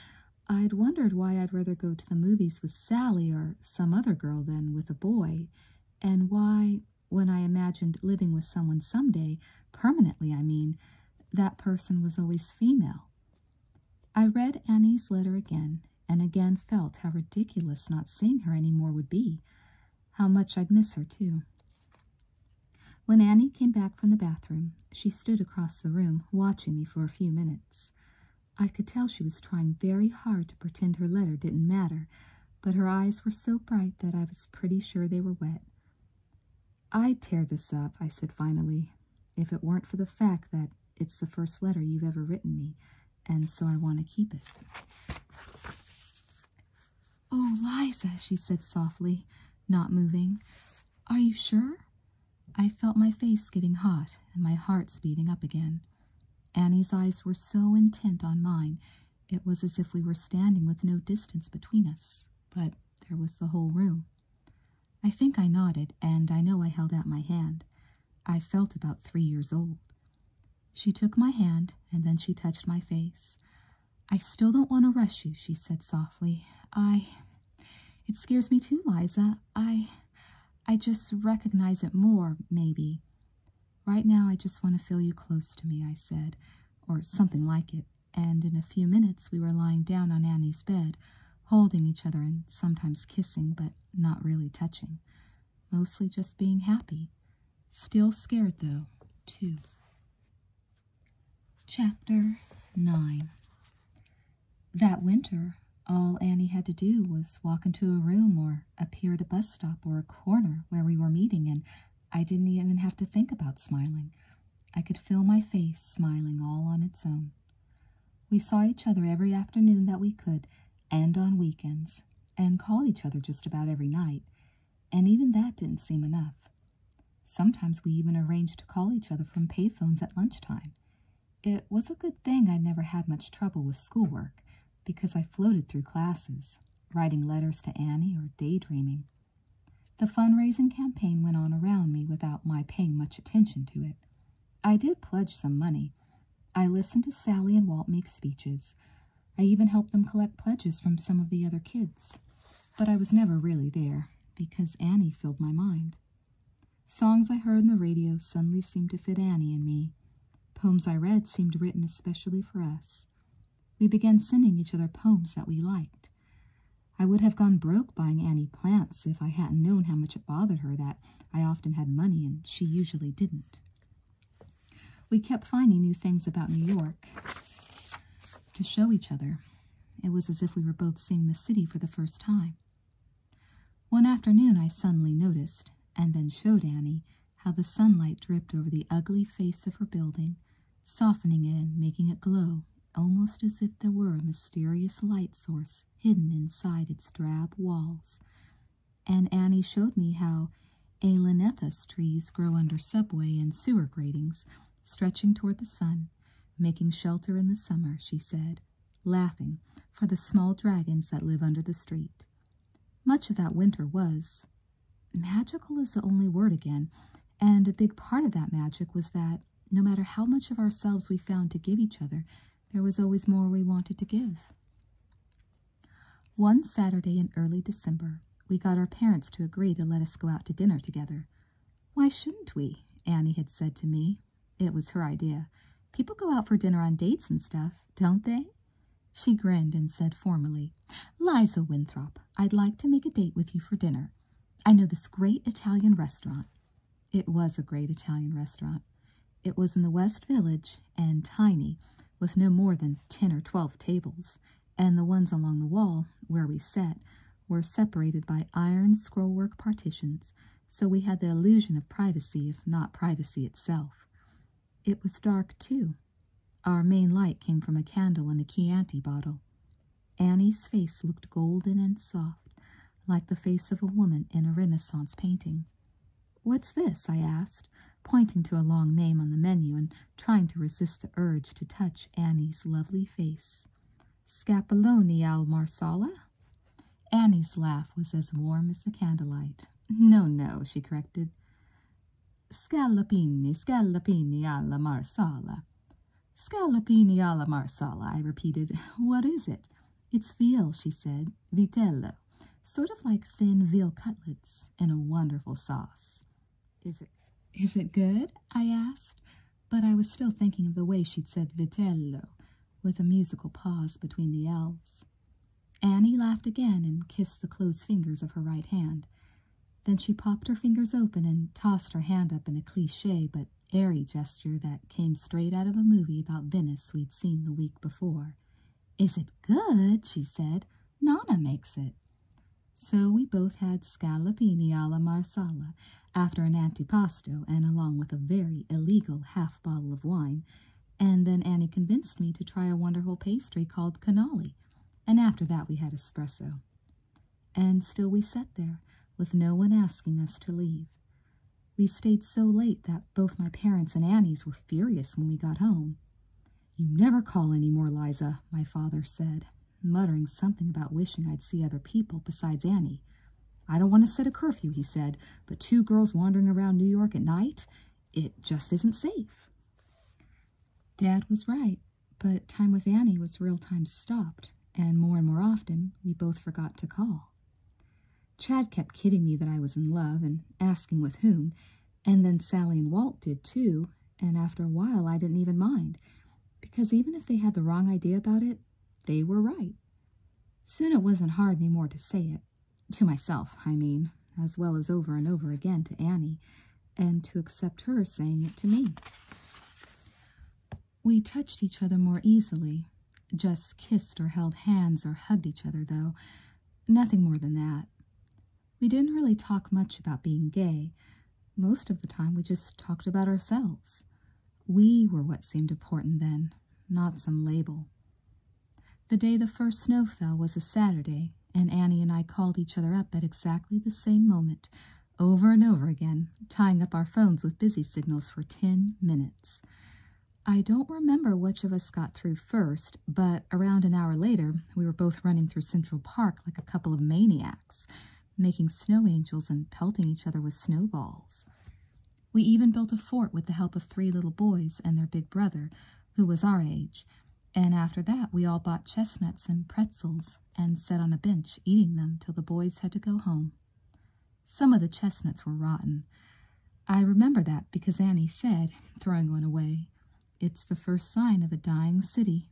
I'd wondered why I'd rather go to the movies with Sally or some other girl than with a boy, and why, when I imagined living with someone someday, permanently, I mean, that person was always female. I read Annie's letter again and again felt how ridiculous not seeing her any more would be, how much I'd miss her, too. When Annie came back from the bathroom, she stood across the room, watching me for a few minutes. I could tell she was trying very hard to pretend her letter didn't matter, but her eyes were so bright that I was pretty sure they were wet. I'd tear this up, I said finally, if it weren't for the fact that it's the first letter you've ever written me, and so I want to keep it. Oh, Liza, she said softly, not moving. Are you sure? I felt my face getting hot and my heart speeding up again. Annie's eyes were so intent on mine, it was as if we were standing with no distance between us, but there was the whole room. I think I nodded, and I know I held out my hand. I felt about three years old. She took my hand, and then she touched my face. I still don't want to rush you, she said softly. I. It scares me too, Liza. I. I just recognize it more, maybe. Right now, I just want to feel you close to me, I said, or something like it and in a few minutes we were lying down on Annie's bed, holding each other and sometimes kissing, but not really touching. Mostly just being happy. Still scared, though, too. Chapter 9 That winter, all Annie had to do was walk into a room or appear at a bus stop or a corner where we were meeting, and I didn't even have to think about smiling. I could feel my face smiling all on its own. We saw each other every afternoon that we could, and on weekends, and called each other just about every night, and even that didn't seem enough. Sometimes we even arranged to call each other from payphones at lunchtime. It was a good thing I never had much trouble with schoolwork, because I floated through classes, writing letters to Annie or daydreaming. The fundraising campaign went on around me without my paying much attention to it. I did pledge some money. I listened to Sally and Walt make speeches. I even helped them collect pledges from some of the other kids. But I was never really there because Annie filled my mind. Songs I heard on the radio suddenly seemed to fit Annie and me. Poems I read seemed written especially for us. We began sending each other poems that we liked. I would have gone broke buying Annie plants if I hadn't known how much it bothered her that I often had money and she usually didn't. We kept finding new things about New York to show each other. It was as if we were both seeing the city for the first time. One afternoon, I suddenly noticed, and then showed Annie, how the sunlight dripped over the ugly face of her building, softening it and making it glow almost as if there were a mysterious light source hidden inside its drab walls. And Annie showed me how Alanethus trees grow under subway and sewer gratings, stretching toward the sun, making shelter in the summer, she said, laughing, for the small dragons that live under the street. Much of that winter was magical is the only word again, and a big part of that magic was that no matter how much of ourselves we found to give each other, there was always more we wanted to give. One Saturday in early December, we got our parents to agree to let us go out to dinner together. Why shouldn't we? Annie had said to me. It was her idea. People go out for dinner on dates and stuff, don't they? She grinned and said formally, Liza Winthrop, I'd like to make a date with you for dinner. I know this great Italian restaurant. It was a great Italian restaurant. It was in the West Village and tiny, with no more than ten or twelve tables, and the ones along the wall, where we sat, were separated by iron scrollwork partitions, so we had the illusion of privacy, if not privacy itself. It was dark, too. Our main light came from a candle in a Chianti bottle. Annie's face looked golden and soft, like the face of a woman in a Renaissance painting. What's this? I asked, pointing to a long name on the menu and trying to resist the urge to touch Annie's lovely face. Scapoloni al Marsala? Annie's laugh was as warm as the candlelight. No, no, she corrected. Scallopini, scallopini alla Marsala. Scallopini alla marsala, I repeated. What is it? It's veal, she said. Vitello. Sort of like thin veal cutlets in a wonderful sauce. Is it, is it good? I asked, but I was still thinking of the way she'd said vitello, with a musical pause between the L's. Annie laughed again and kissed the closed fingers of her right hand. Then she popped her fingers open and tossed her hand up in a cliche but airy gesture that came straight out of a movie about Venice we'd seen the week before. Is it good? she said. Nana makes it. So we both had scallopini alla marsala after an antipasto and along with a very illegal half bottle of wine, and then Annie convinced me to try a wonderful pastry called cannoli, and after that we had espresso. And still we sat there, with no one asking us to leave. We stayed so late that both my parents and Annie's were furious when we got home. You never call any more, Liza, my father said, muttering something about wishing I'd see other people besides Annie. I don't want to set a curfew, he said, but two girls wandering around New York at night, it just isn't safe. Dad was right, but time with Annie was real time stopped and more and more often we both forgot to call. Chad kept kidding me that I was in love and asking with whom, and then Sally and Walt did too, and after a while I didn't even mind, because even if they had the wrong idea about it, they were right. Soon it wasn't hard any more to say it, to myself, I mean, as well as over and over again to Annie, and to accept her saying it to me. We touched each other more easily, just kissed or held hands or hugged each other, though, nothing more than that. We didn't really talk much about being gay. Most of the time, we just talked about ourselves. We were what seemed important then, not some label. The day the first snow fell was a Saturday, and Annie and I called each other up at exactly the same moment over and over again, tying up our phones with busy signals for 10 minutes. I don't remember which of us got through first, but around an hour later, we were both running through Central Park like a couple of maniacs, making snow angels and pelting each other with snowballs. We even built a fort with the help of three little boys and their big brother, who was our age, and after that we all bought chestnuts and pretzels and sat on a bench eating them till the boys had to go home. Some of the chestnuts were rotten. I remember that because Annie said, throwing one away, it's the first sign of a dying city,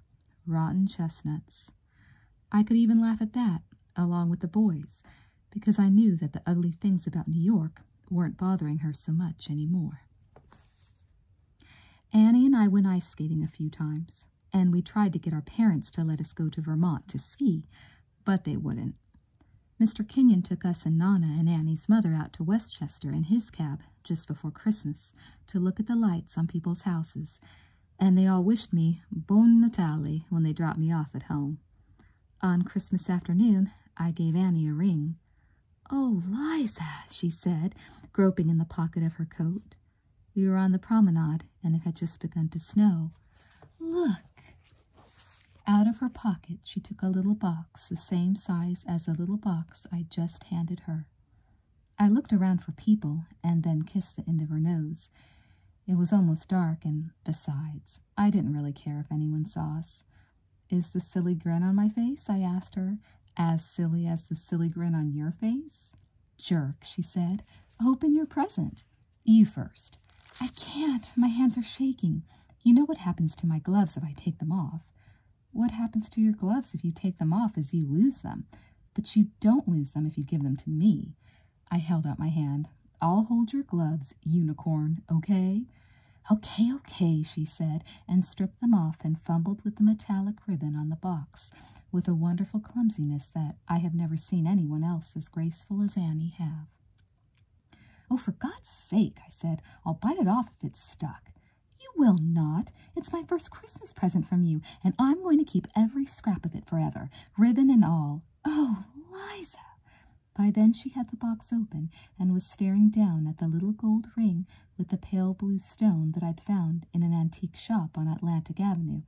rotten chestnuts. I could even laugh at that, along with the boys, because I knew that the ugly things about New York weren't bothering her so much any more. Annie and I went ice skating a few times, and we tried to get our parents to let us go to Vermont to see. But they wouldn't. Mr. Kenyon took us and Nana and Annie's mother out to Westchester in his cab just before Christmas to look at the lights on people's houses, and they all wished me Bon Natale when they dropped me off at home. On Christmas afternoon, I gave Annie a ring. Oh, Liza, she said, groping in the pocket of her coat. We were on the promenade, and it had just begun to snow. Look! Out of her pocket she took a little box the same size as the little box I just handed her. I looked around for people and then kissed the end of her nose. It was almost dark, and besides, I didn't really care if anyone saw us. Is the silly grin on my face? I asked her. As silly as the silly grin on your face? Jerk, she said. Open your present. You first. I can't. My hands are shaking. You know what happens to my gloves if I take them off. What happens to your gloves if you take them off is you lose them. But you don't lose them if you give them to me. I held out my hand. I'll hold your gloves, unicorn, okay? Okay, okay, she said, and stripped them off and fumbled with the metallic ribbon on the box. With a wonderful clumsiness, that I have never seen anyone else as graceful as Annie have. Oh, for God's sake, I said, I'll bite it off if it's stuck. You will not. It's my first Christmas present from you, and I'm going to keep every scrap of it forever, ribbon and all. Oh, Liza! By then she had the box open and was staring down at the little gold ring with the pale blue stone that I'd found in an antique shop on Atlantic Avenue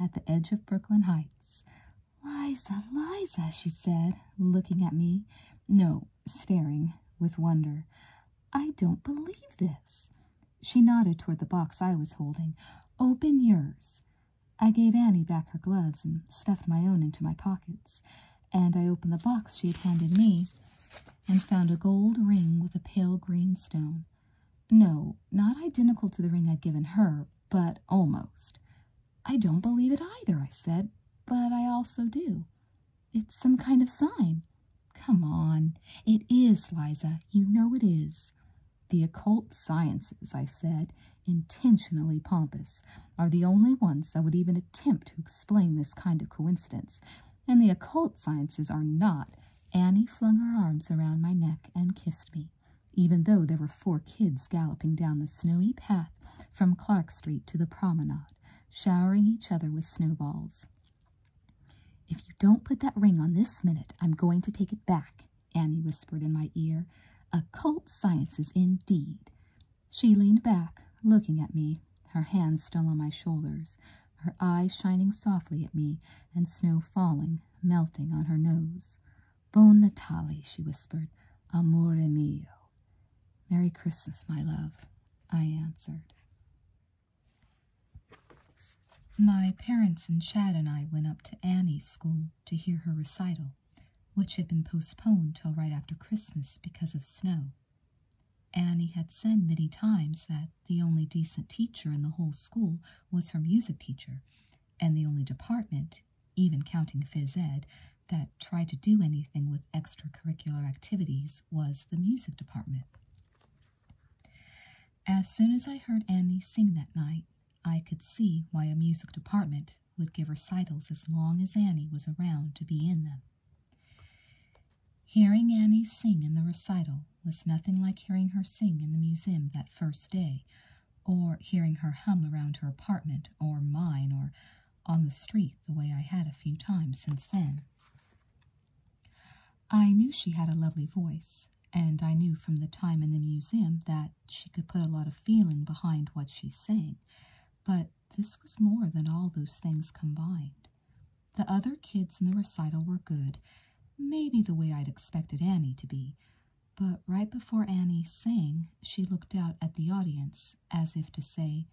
at the edge of Brooklyn Heights. Liza, Liza, she said, looking at me, no, staring, with wonder. I don't believe this. She nodded toward the box I was holding. Open yours. I gave Annie back her gloves and stuffed my own into my pockets, and I opened the box she had handed me and found a gold ring with a pale green stone. No, not identical to the ring I'd given her, but almost. I don't believe it either, I said, but I also do. It's some kind of sign. Come on, it is, Liza, you know it is. The occult sciences, I said, intentionally pompous, are the only ones that would even attempt to explain this kind of coincidence, and the occult sciences are not. Annie flung her arms around my neck and kissed me even though there were four kids galloping down the snowy path from Clark Street to the promenade, showering each other with snowballs. If you don't put that ring on this minute, I'm going to take it back, Annie whispered in my ear. Occult is indeed. She leaned back, looking at me, her hands still on my shoulders, her eyes shining softly at me, and snow falling, melting on her nose. Bon Natali," she whispered. Amore mio. Merry Christmas, my love, I answered. My parents and Chad and I went up to Annie's school to hear her recital, which had been postponed till right after Christmas because of snow. Annie had said many times that the only decent teacher in the whole school was her music teacher, and the only department even counting Phiz ed, that tried to do anything with extracurricular activities was the music department. As soon as I heard Annie sing that night, I could see why a music department would give recitals as long as Annie was around to be in them. Hearing Annie sing in the recital was nothing like hearing her sing in the museum that first day, or hearing her hum around her apartment or mine or on the street the way I had a few times since then. I knew she had a lovely voice, and I knew from the time in the museum that she could put a lot of feeling behind what she sang, but this was more than all those things combined. The other kids in the recital were good, maybe the way I'd expected Annie to be, but right before Annie sang, she looked out at the audience as if to say,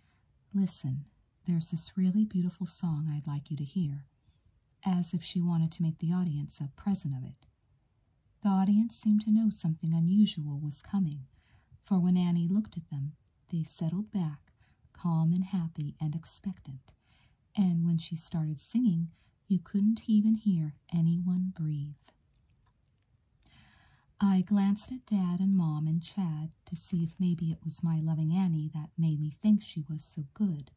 Listen, there's this really beautiful song I'd like you to hear, as if she wanted to make the audience a present of it. The audience seemed to know something unusual was coming, for when Annie looked at them, they settled back, calm and happy and expectant, and when she started singing, you couldn't even hear anyone breathe. I glanced at Dad and Mom and Chad to see if maybe it was my loving Annie that made me think she was so good,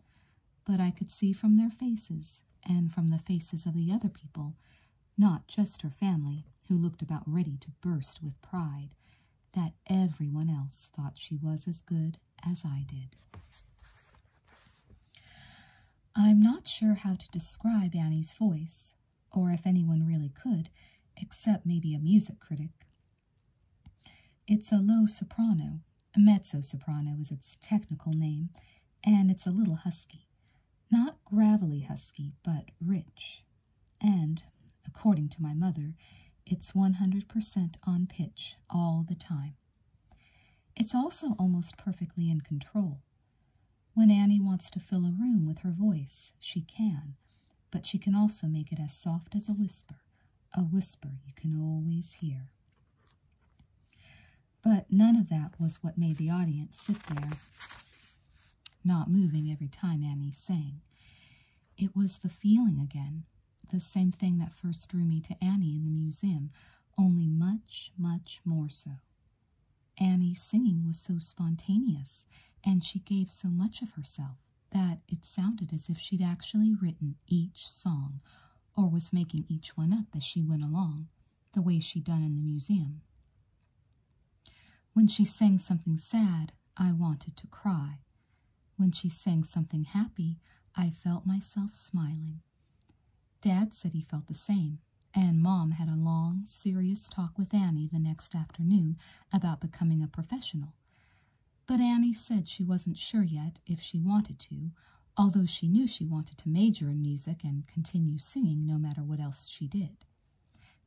but I could see from their faces and from the faces of the other people, not just her family, who looked about ready to burst with pride, that everyone else thought she was as good as I did. I'm not sure how to describe Annie's voice, or if anyone really could, except maybe a music critic. It's a low soprano, mezzo soprano is its technical name, and it's a little husky. Not gravelly husky, but rich. And, according to my mother, it's 100% on pitch all the time. It's also almost perfectly in control, when Annie wants to fill a room with her voice, she can, but she can also make it as soft as a whisper, a whisper you can always hear. But none of that was what made the audience sit there, not moving every time Annie sang. It was the feeling again, the same thing that first drew me to Annie in the museum, only much, much more so. Annie's singing was so spontaneous, and she gave so much of herself, that it sounded as if she'd actually written each song, or was making each one up as she went along, the way she'd done in the museum. When she sang something sad, I wanted to cry. When she sang something happy, I felt myself smiling. Dad said he felt the same, and Mom had a long, serious talk with Annie the next afternoon about becoming a professional. But Annie said she wasn't sure yet if she wanted to, although she knew she wanted to major in music and continue singing no matter what else she did.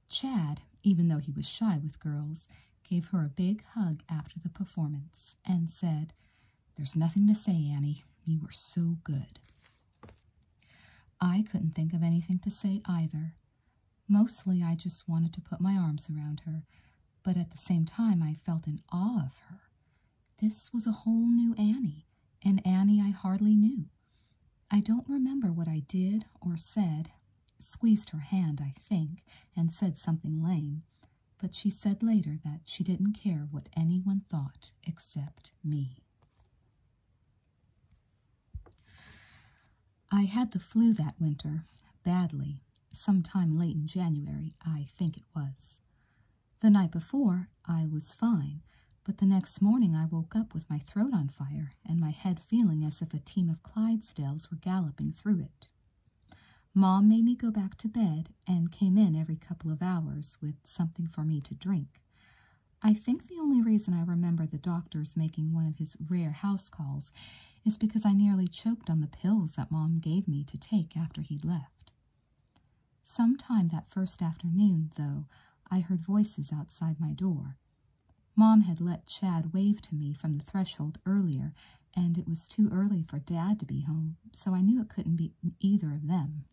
Chad, even though he was shy with girls, gave her a big hug after the performance and said, There's nothing to say, Annie. You were so good. I couldn't think of anything to say either. Mostly I just wanted to put my arms around her, but at the same time I felt in awe of her. This was a whole new Annie, an Annie I hardly knew. I don't remember what I did or said. Squeezed her hand, I think, and said something lame, but she said later that she didn't care what anyone thought except me. I had the flu that winter, badly, sometime late in January, I think it was. The night before, I was fine, but the next morning I woke up with my throat on fire and my head feeling as if a team of Clydesdales were galloping through it. Mom made me go back to bed and came in every couple of hours with something for me to drink. I think the only reason I remember the doctor's making one of his rare house calls is because I nearly choked on the pills that Mom gave me to take after he'd left. Sometime that first afternoon, though, I heard voices outside my door. Mom had let Chad wave to me from the threshold earlier, and it was too early for Dad to be home, so I knew it couldn't be either of them.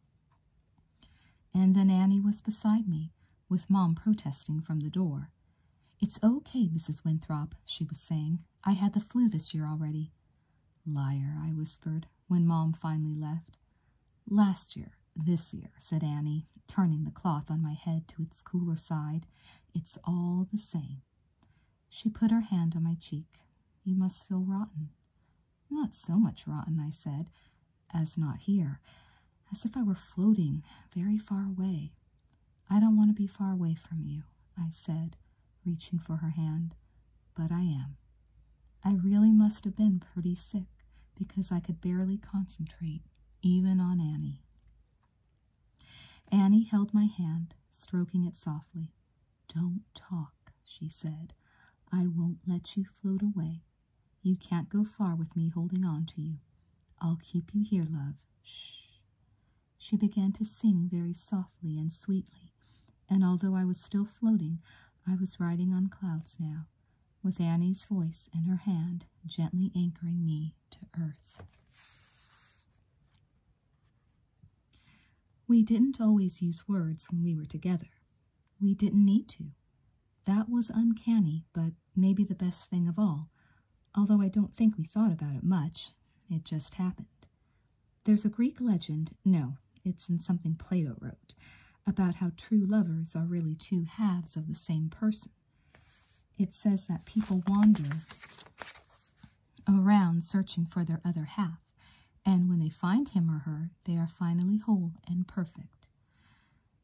And then Annie was beside me, with Mom protesting from the door. It's okay, Mrs. Winthrop, she was saying. I had the flu this year already. Liar, I whispered, when Mom finally left. Last year, this year, said Annie, turning the cloth on my head to its cooler side. It's all the same. She put her hand on my cheek. You must feel rotten. Not so much rotten, I said, as not here, as if I were floating very far away. I don't want to be far away from you, I said, reaching for her hand, but I am. I really must have been pretty sick because I could barely concentrate, even on Annie. Annie held my hand, stroking it softly. Don't talk, she said. I won't let you float away you can't go far with me holding on to you. I'll keep you here, love. Shh. She began to sing very softly and sweetly, and although I was still floating, I was riding on clouds now, with Annie's voice and her hand gently anchoring me to earth. We didn't always use words when we were together. We didn't need to. That was uncanny, but maybe the best thing of all, although I don't think we thought about it much. It just happened. There's a Greek legend, no, it's in something Plato wrote, about how true lovers are really two halves of the same person. It says that people wander around searching for their other half, and when they find him or her, they are finally whole and perfect.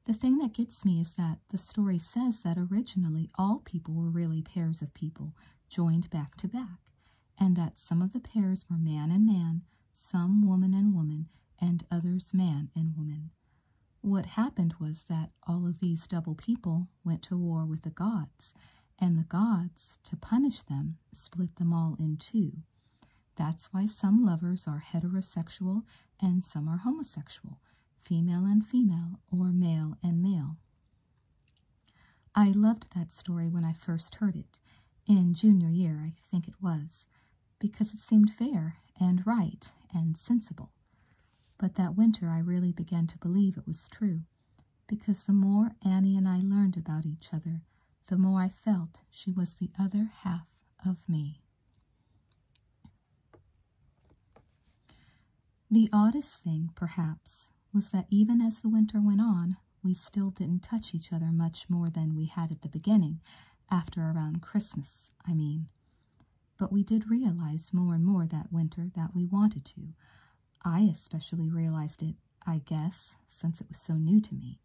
The thing that gets me is that the story says that originally all people were really pairs of people joined back to back, and that some of the pairs were man and man, some woman and woman, and others man and woman. What happened was that all of these double people went to war with the gods, and the gods, to punish them, split them all in two. That's why some lovers are heterosexual and some are homosexual, female and female, or male and male. I loved that story when I first heard it, in junior year, I think it was, because it seemed fair and right and sensible. But that winter I really began to believe it was true, because the more Annie and I learned about each other, the more I felt she was the other half of me. The oddest thing, perhaps, was that even as the winter went on, we still didn't touch each other much more than we had at the beginning, after around Christmas, I mean. But we did realize more and more that winter that we wanted to. I especially realized it, I guess, since it was so new to me.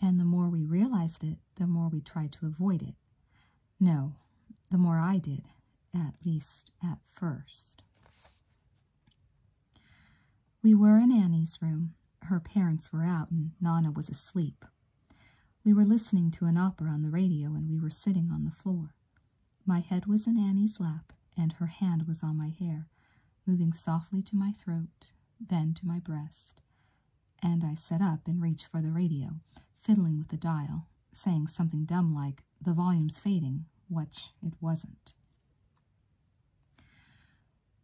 And the more we realized it, the more we tried to avoid it. No, the more I did, at least at first. We were in Annie's room. Her parents were out and Nana was asleep. We were listening to an opera on the radio and we were sitting on the floor. My head was in Annie's lap and her hand was on my hair, moving softly to my throat, then to my breast, and I sat up and reached for the radio, fiddling with the dial, saying something dumb like, the volume's fading, which it wasn't.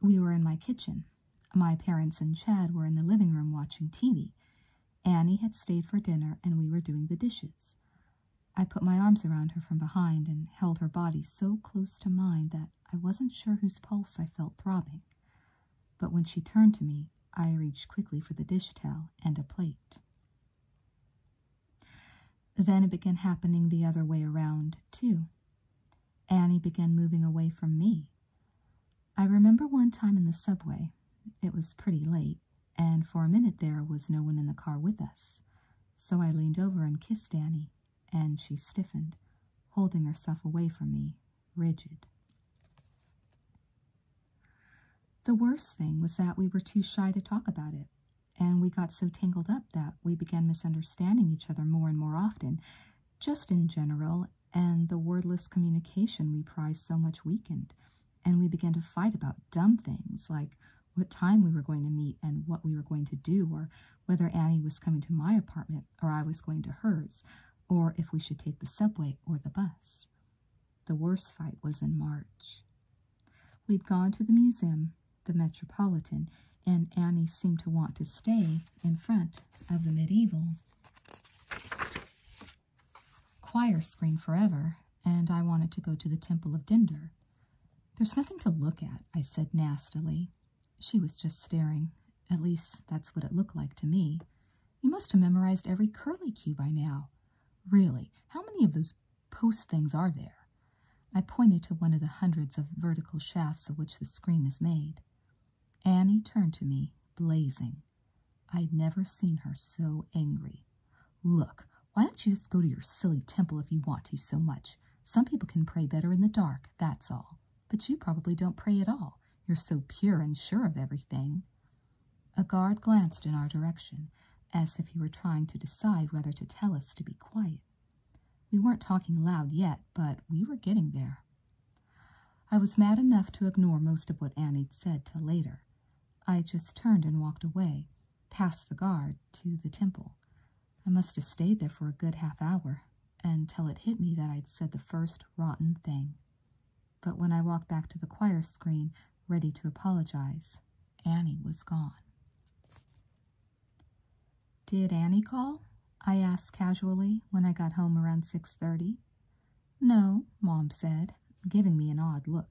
We were in my kitchen. My parents and Chad were in the living room watching TV. Annie had stayed for dinner and we were doing the dishes. I put my arms around her from behind and held her body so close to mine that I wasn't sure whose pulse I felt throbbing. But when she turned to me, I reached quickly for the dish towel and a plate. Then it began happening the other way around, too. Annie began moving away from me. I remember one time in the subway. It was pretty late, and for a minute there was no one in the car with us. So I leaned over and kissed Annie, and she stiffened, holding herself away from me rigid. The worst thing was that we were too shy to talk about it, and we got so tangled up that we began misunderstanding each other more and more often, just in general, and the wordless communication we prized so much weakened, and we began to fight about dumb things like what time we were going to meet and what we were going to do, or whether Annie was coming to my apartment or I was going to hers, or if we should take the subway or the bus. The worst fight was in March. We'd gone to the museum, the Metropolitan, and Annie seemed to want to stay in front of the medieval choir screen forever, and I wanted to go to the Temple of Dender. There's nothing to look at, I said nastily. She was just staring. At least that's what it looked like to me. You must have memorized every curlicue by now. Really, how many of those post things are there? I pointed to one of the hundreds of vertical shafts of which the screen is made. Annie turned to me, blazing. I'd never seen her so angry. Look, why don't you just go to your silly temple if you want to so much? Some people can pray better in the dark, that's all. But you probably don't pray at all. You're so pure and sure of everything. A guard glanced in our direction, as if he were trying to decide whether to tell us to be quiet. We weren't talking loud yet, but we were getting there. I was mad enough to ignore most of what Annie'd said till later. I just turned and walked away, past the guard, to the temple. I must have stayed there for a good half hour, until it hit me that I'd said the first rotten thing. But when I walked back to the choir screen, ready to apologize, Annie was gone. Did Annie call? I asked casually when I got home around 6.30. No, Mom said, giving me an odd look.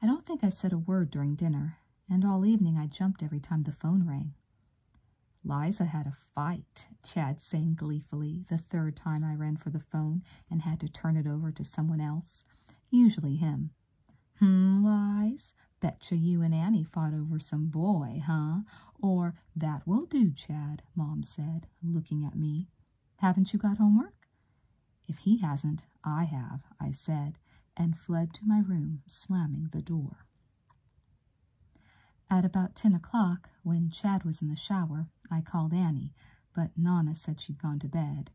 I don't think I said a word during dinner, and all evening I jumped every time the phone rang. Liza had a fight, Chad sang gleefully the third time I ran for the phone and had to turn it over to someone else, usually him. Hmm, Lies, betcha you and Annie fought over some boy, huh? Or, that will do, Chad, Mom said, looking at me. Haven't you got homework? If he hasn't, I have, I said, and fled to my room, slamming the door. At about ten o'clock, when Chad was in the shower, I called Annie, but Nana said she'd gone to bed.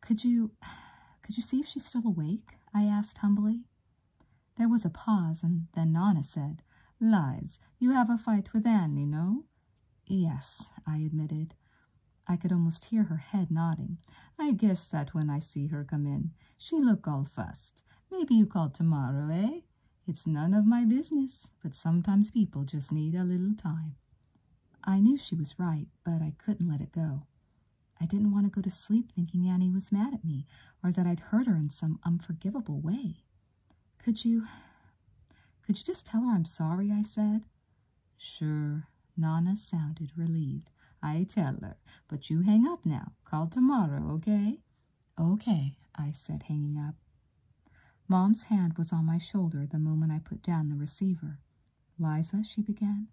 Could you could you see if she's still awake? I asked humbly. There was a pause, and then Nana said, Lies, you have a fight with Annie, no? Yes, I admitted. I could almost hear her head nodding. I guess that when I see her come in, she look all fussed. Maybe you call tomorrow, eh? it's none of my business, but sometimes people just need a little time. I knew she was right, but I couldn't let it go. I didn't want to go to sleep thinking Annie was mad at me or that I'd hurt her in some unforgivable way. Could you... could you just tell her I'm sorry, I said? Sure. Nana sounded relieved. I tell her. But you hang up now. Call tomorrow, okay? Okay, I said, hanging up. Mom's hand was on my shoulder the moment I put down the receiver. Liza, she began.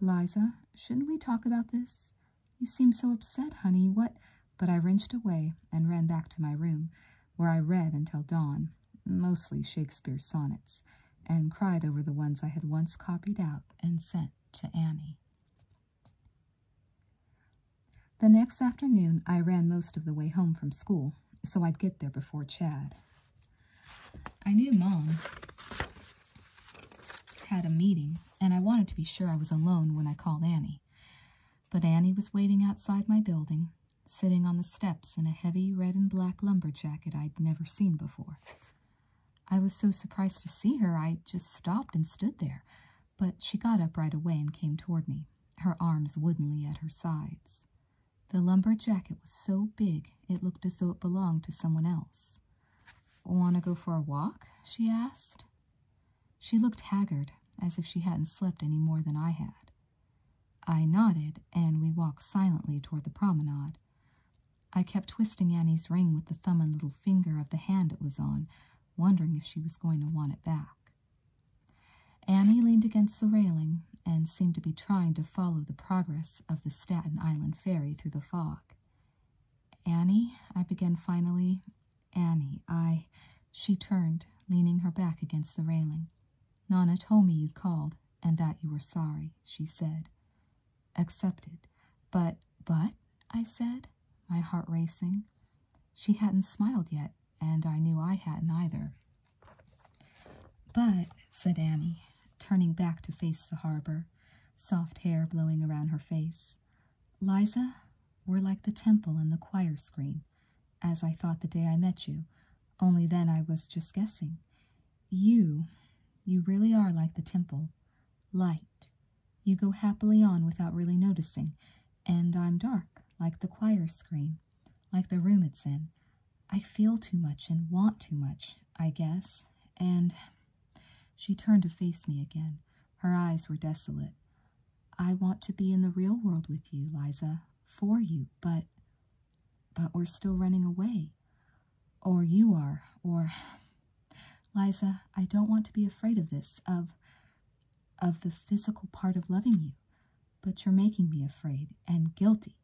Liza, shouldn't we talk about this? You seem so upset, honey. What? But I wrenched away and ran back to my room, where I read until dawn, mostly Shakespeare's sonnets, and cried over the ones I had once copied out and sent to Annie. The next afternoon, I ran most of the way home from school, so I'd get there before Chad. I knew Mom had a meeting, and I wanted to be sure I was alone when I called Annie. But Annie was waiting outside my building, sitting on the steps in a heavy red and black lumber jacket I'd never seen before. I was so surprised to see her, I just stopped and stood there, but she got up right away and came toward me, her arms woodenly at her sides. The lumber jacket was so big it looked as though it belonged to someone else. Want to go for a walk? she asked. She looked haggard, as if she hadn't slept any more than I had. I nodded, and we walked silently toward the promenade. I kept twisting Annie's ring with the thumb and little finger of the hand it was on, wondering if she was going to want it back. Annie leaned against the railing and seemed to be trying to follow the progress of the Staten Island ferry through the fog. Annie, I began finally. Annie, I. She turned, leaning her back against the railing. Nona told me you'd called and that you were sorry, she said. Accepted. But, but, I said, my heart racing. She hadn't smiled yet, and I knew I hadn't either. But, said Annie, turning back to face the harbor, soft hair blowing around her face, Liza, we're like the temple and the choir screen, as I thought the day I met you, only then I was just guessing. You, you really are like the temple, light. You go happily on without really noticing, and I'm dark, like the choir screen, like the room it's in. I feel too much and want too much, I guess. And she turned to face me again. Her eyes were desolate. I want to be in the real world with you, Liza, for you, but. But we're still running away. Or you are, or. Liza, I don't want to be afraid of this, of of the physical part of loving you, but you're making me afraid and guilty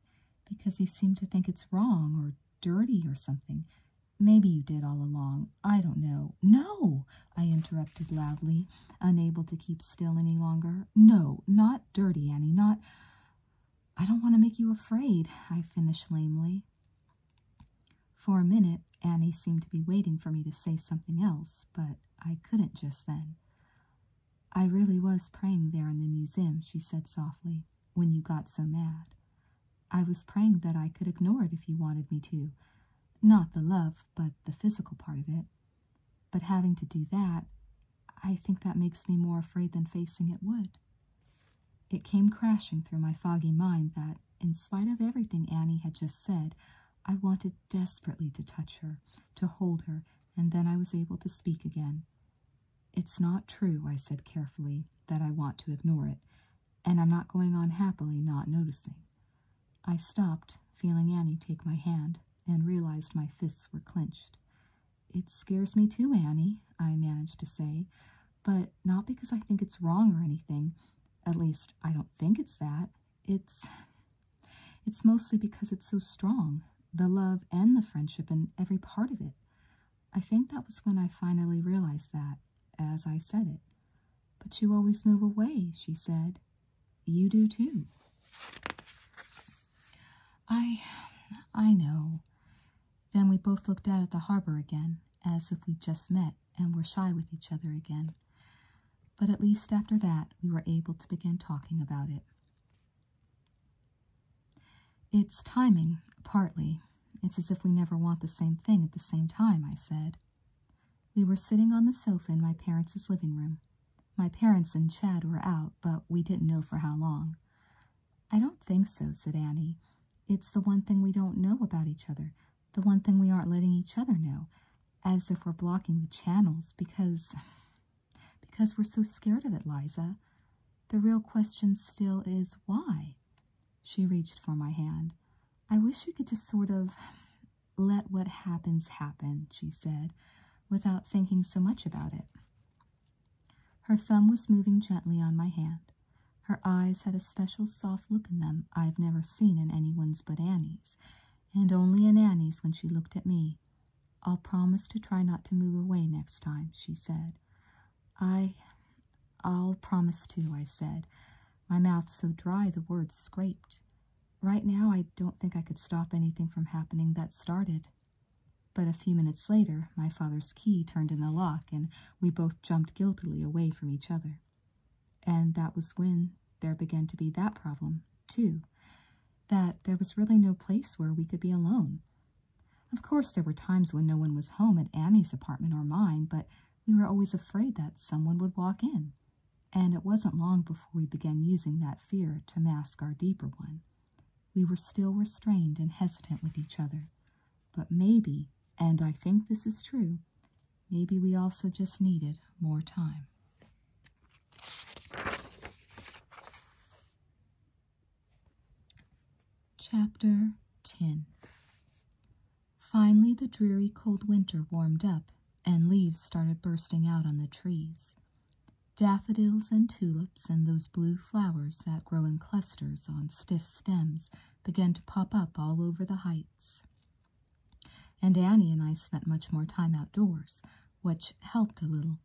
because you seem to think it's wrong or dirty or something. Maybe you did all along. I don't know. No, I interrupted loudly, unable to keep still any longer. No, not dirty, Annie, not. I don't want to make you afraid, I finished lamely. For a minute, Annie seemed to be waiting for me to say something else, but I couldn't just then. I really was praying there in the museum, she said softly, when you got so mad. I was praying that I could ignore it if you wanted me to. Not the love, but the physical part of it. But having to do that, I think that makes me more afraid than facing it would. It came crashing through my foggy mind that, in spite of everything Annie had just said, I wanted desperately to touch her, to hold her, and then I was able to speak again. It's not true, I said carefully, that I want to ignore it, and I'm not going on happily not noticing. I stopped, feeling Annie take my hand, and realized my fists were clenched. It scares me too, Annie, I managed to say, but not because I think it's wrong or anything. At least, I don't think it's that it's it's mostly because it's so strong the love and the friendship and every part of it i think that was when i finally realized that as i said it but you always move away she said you do too i i know then we both looked out at the harbor again as if we just met and were shy with each other again but at least after that, we were able to begin talking about it. It's timing, partly. It's as if we never want the same thing at the same time, I said. We were sitting on the sofa in my parents' living room. My parents and Chad were out, but we didn't know for how long. I don't think so, said Annie. It's the one thing we don't know about each other, the one thing we aren't letting each other know, as if we're blocking the channels because because we're so scared of it, Liza. The real question still is why? She reached for my hand. I wish we could just sort of let what happens happen, she said, without thinking so much about it. Her thumb was moving gently on my hand. Her eyes had a special soft look in them I've never seen in anyone's but Annie's, and only in Annie's when she looked at me. I'll promise to try not to move away next time, she said. I. I'll promise too," I said, my mouth so dry the words scraped. Right now, I don't think I could stop anything from happening that started. But a few minutes later, my father's key turned in the lock, and we both jumped guiltily away from each other. And that was when there began to be that problem, too that there was really no place where we could be alone. Of course, there were times when no one was home at Annie's apartment or mine, but we were always afraid that someone would walk in. And it wasn't long before we began using that fear to mask our deeper one. We were still restrained and hesitant with each other. But maybe, and I think this is true, maybe we also just needed more time. Chapter 10 Finally, the dreary cold winter warmed up, and leaves started bursting out on the trees. Daffodils and tulips and those blue flowers that grow in clusters on stiff stems began to pop up all over the heights. And Annie and I spent much more time outdoors, which helped a little.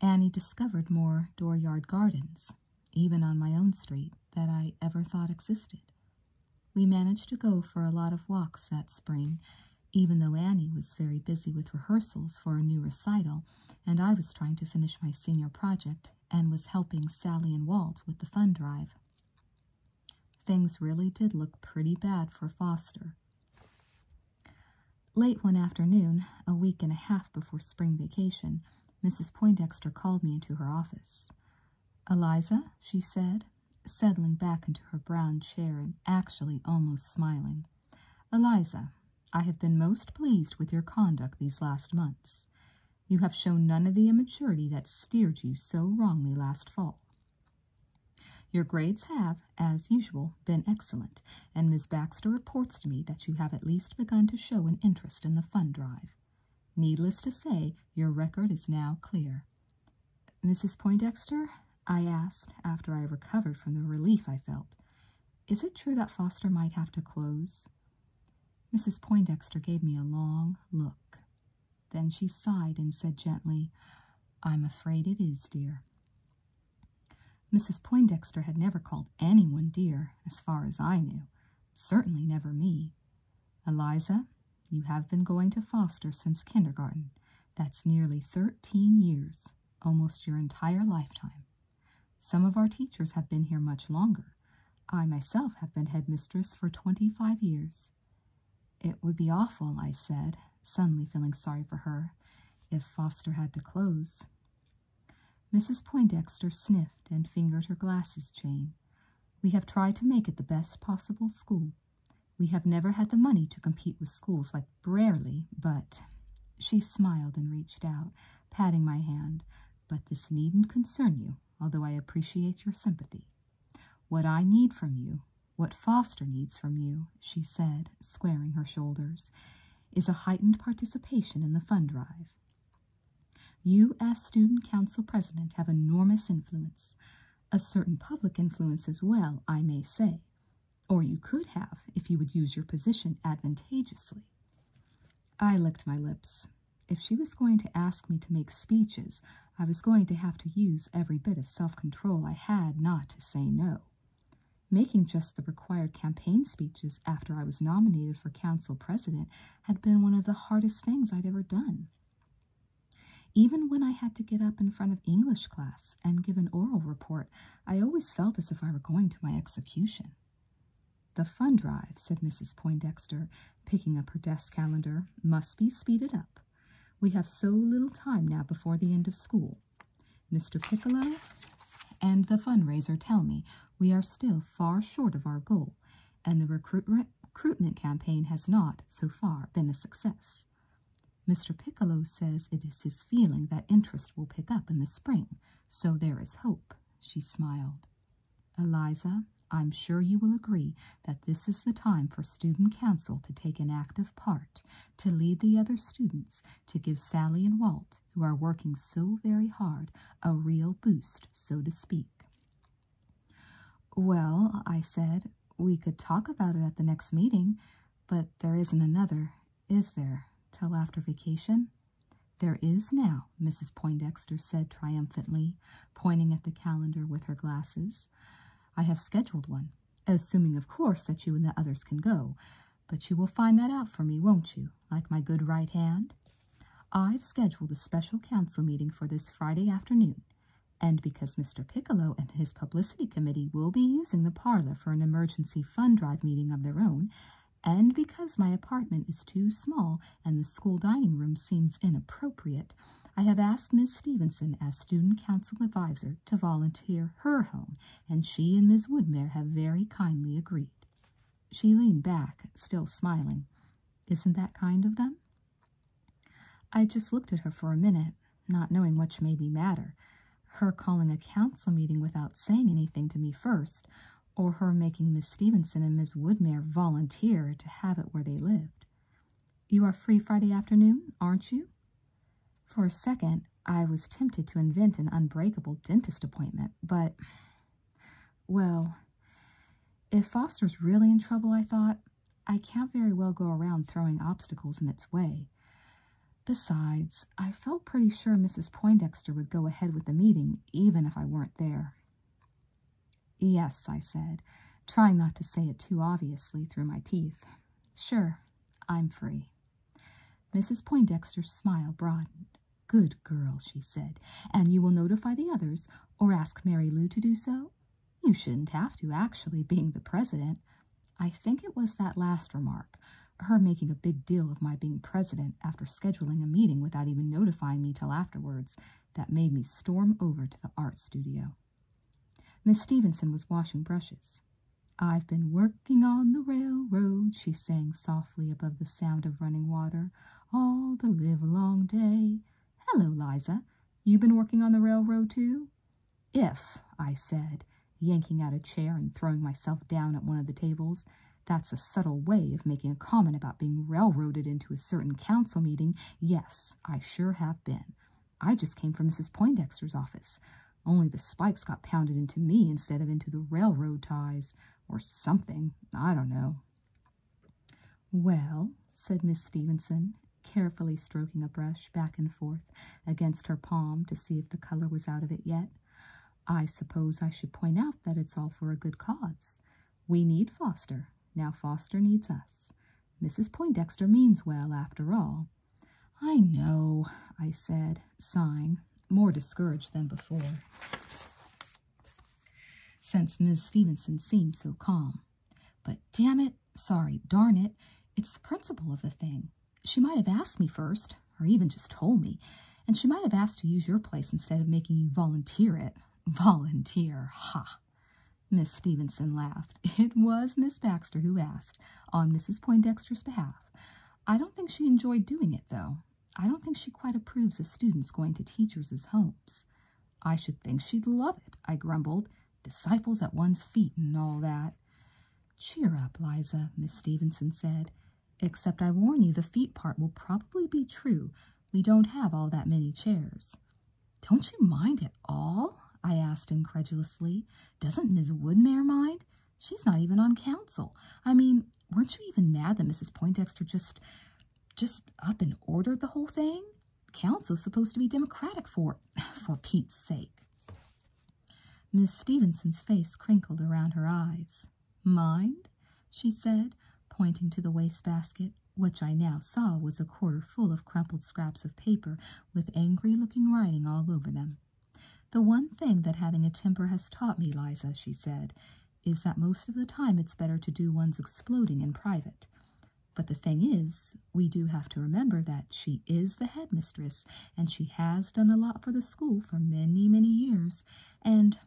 Annie discovered more dooryard gardens, even on my own street, that I ever thought existed. We managed to go for a lot of walks that spring, even though Annie was very busy with rehearsals for a new recital, and I was trying to finish my senior project and was helping Sally and Walt with the fund drive. Things really did look pretty bad for Foster. Late one afternoon, a week and a half before spring vacation, Mrs. Poindexter called me into her office. Eliza, she said, settling back into her brown chair and actually almost smiling. Eliza, I have been most pleased with your conduct these last months. You have shown none of the immaturity that steered you so wrongly last fall. Your grades have, as usual, been excellent, and Miss Baxter reports to me that you have at least begun to show an interest in the fund drive. Needless to say, your record is now clear. Mrs. Poindexter, I asked after I recovered from the relief I felt, is it true that Foster might have to close? Mrs. Poindexter gave me a long look. Then she sighed and said gently, I'm afraid it is, dear. Mrs. Poindexter had never called anyone dear, as far as I knew, certainly never me. Eliza, you have been going to Foster since kindergarten. That's nearly thirteen years, almost your entire lifetime. Some of our teachers have been here much longer. I myself have been headmistress for twenty five years. It would be awful, I said, suddenly feeling sorry for her, if Foster had to close. Mrs. Poindexter sniffed and fingered her glasses chain. We have tried to make it the best possible school. We have never had the money to compete with schools like Brerly, but... She smiled and reached out, patting my hand. But this needn't concern you, although I appreciate your sympathy. What I need from you what Foster needs from you, she said, squaring her shoulders, is a heightened participation in the fund drive. You, as student council president, have enormous influence, a certain public influence as well, I may say, or you could have if you would use your position advantageously. I licked my lips. If she was going to ask me to make speeches, I was going to have to use every bit of self control I had not to say no. Making just the required campaign speeches after I was nominated for council president had been one of the hardest things I'd ever done. Even when I had to get up in front of English class and give an oral report, I always felt as if I were going to my execution. The fund drive, said Mrs. Poindexter, picking up her desk calendar, must be speeded up. We have so little time now before the end of school. Mr. Piccolo and the fundraiser tell me we are still far short of our goal, and the recruitment campaign has not, so far, been a success. Mr. Piccolo says it is his feeling that interest will pick up in the spring, so there is hope, she smiled. Eliza, I'm sure you will agree that this is the time for student council to take an active part to lead the other students to give Sally and Walt, who are working so very hard, a real boost, so to speak. Well, I said, we could talk about it at the next meeting, but there isn't another, is there, till after vacation? There is now, Mrs. Poindexter said triumphantly, pointing at the calendar with her glasses. I have scheduled one assuming, of course, that you and the others can go. But you will find that out for me, won't you, like my good right hand? I've scheduled a special council meeting for this Friday afternoon, and because Mr. Piccolo and his publicity committee will be using the parlor for an emergency fund drive meeting of their own, and because my apartment is too small and the school dining room seems inappropriate, I have asked Miss Stevenson as student council advisor to volunteer her home, and she and Miss Woodmere have very kindly agreed. She leaned back, still smiling. Isn't that kind of them? I just looked at her for a minute, not knowing which made me madder. Her calling a council meeting without saying anything to me first, or her making Miss Stevenson and Miss Woodmere volunteer to have it where they lived. You are free Friday afternoon, aren't you? For a second, I was tempted to invent an unbreakable dentist appointment, but, well, if Foster's really in trouble, I thought, I can't very well go around throwing obstacles in its way. Besides, I felt pretty sure Mrs. Poindexter would go ahead with the meeting, even if I weren't there. Yes, I said, trying not to say it too obviously through my teeth. Sure, I'm free. Mrs. Poindexter's smile broadened. Good girl, she said. And you will notify the others, or ask Mary Lou to do so? You shouldn't have to, actually, being the president. I think it was that last remark, her making a big deal of my being president after scheduling a meeting without even notifying me till afterwards, that made me storm over to the art studio. Miss Stevenson was washing brushes. I've been working on the railroad, she sang softly above the sound of running water, all the livelong day. Hello, Liza. You have been working on the railroad too? If, I said, yanking out a chair and throwing myself down at one of the tables, that's a subtle way of making a comment about being railroaded into a certain council meeting. Yes, I sure have been. I just came from Mrs. Poindexter's office, only the spikes got pounded into me instead of into the railroad ties, or something, I don't know. Well, said Miss Stevenson, carefully stroking a brush back and forth against her palm to see if the color was out of it yet, I suppose I should point out that it's all for a good cause. We need Foster. Now Foster needs us. Mrs. Poindexter means well, after all, I know, I said, sighing, more discouraged than before, since Miss Stevenson seemed so calm. But damn it, sorry, darn it, it's the principle of the thing. She might have asked me first, or even just told me, and she might have asked to use your place instead of making you volunteer it. Volunteer, ha! Miss Stevenson laughed. It was Miss Baxter who asked, on Mrs. Poindexter's behalf, I don't think she enjoyed doing it, though. I don't think she quite approves of students going to teachers' homes. I should think she'd love it, I grumbled. Disciples at one's feet and all that. Cheer up, Liza, Miss Stevenson said. Except I warn you the feet part will probably be true. We don't have all that many chairs. Don't you mind at all? I asked incredulously. Doesn't Miss Woodmere mind? She's not even on council. I mean, weren't you even mad that Mrs. Poindexter just, just up and ordered the whole thing? Council's supposed to be democratic for, for Pete's sake. Miss Stevenson's face crinkled around her eyes. Mind? she said, pointing to the wastebasket, which I now saw was a quarter full of crumpled scraps of paper with angry-looking writing all over them. The one thing that having a temper has taught me, Liza, she said, is that most of the time it's better to do one's exploding in private. But the thing is, we do have to remember that she is the headmistress, and she has done a lot for the school for many, many years. And,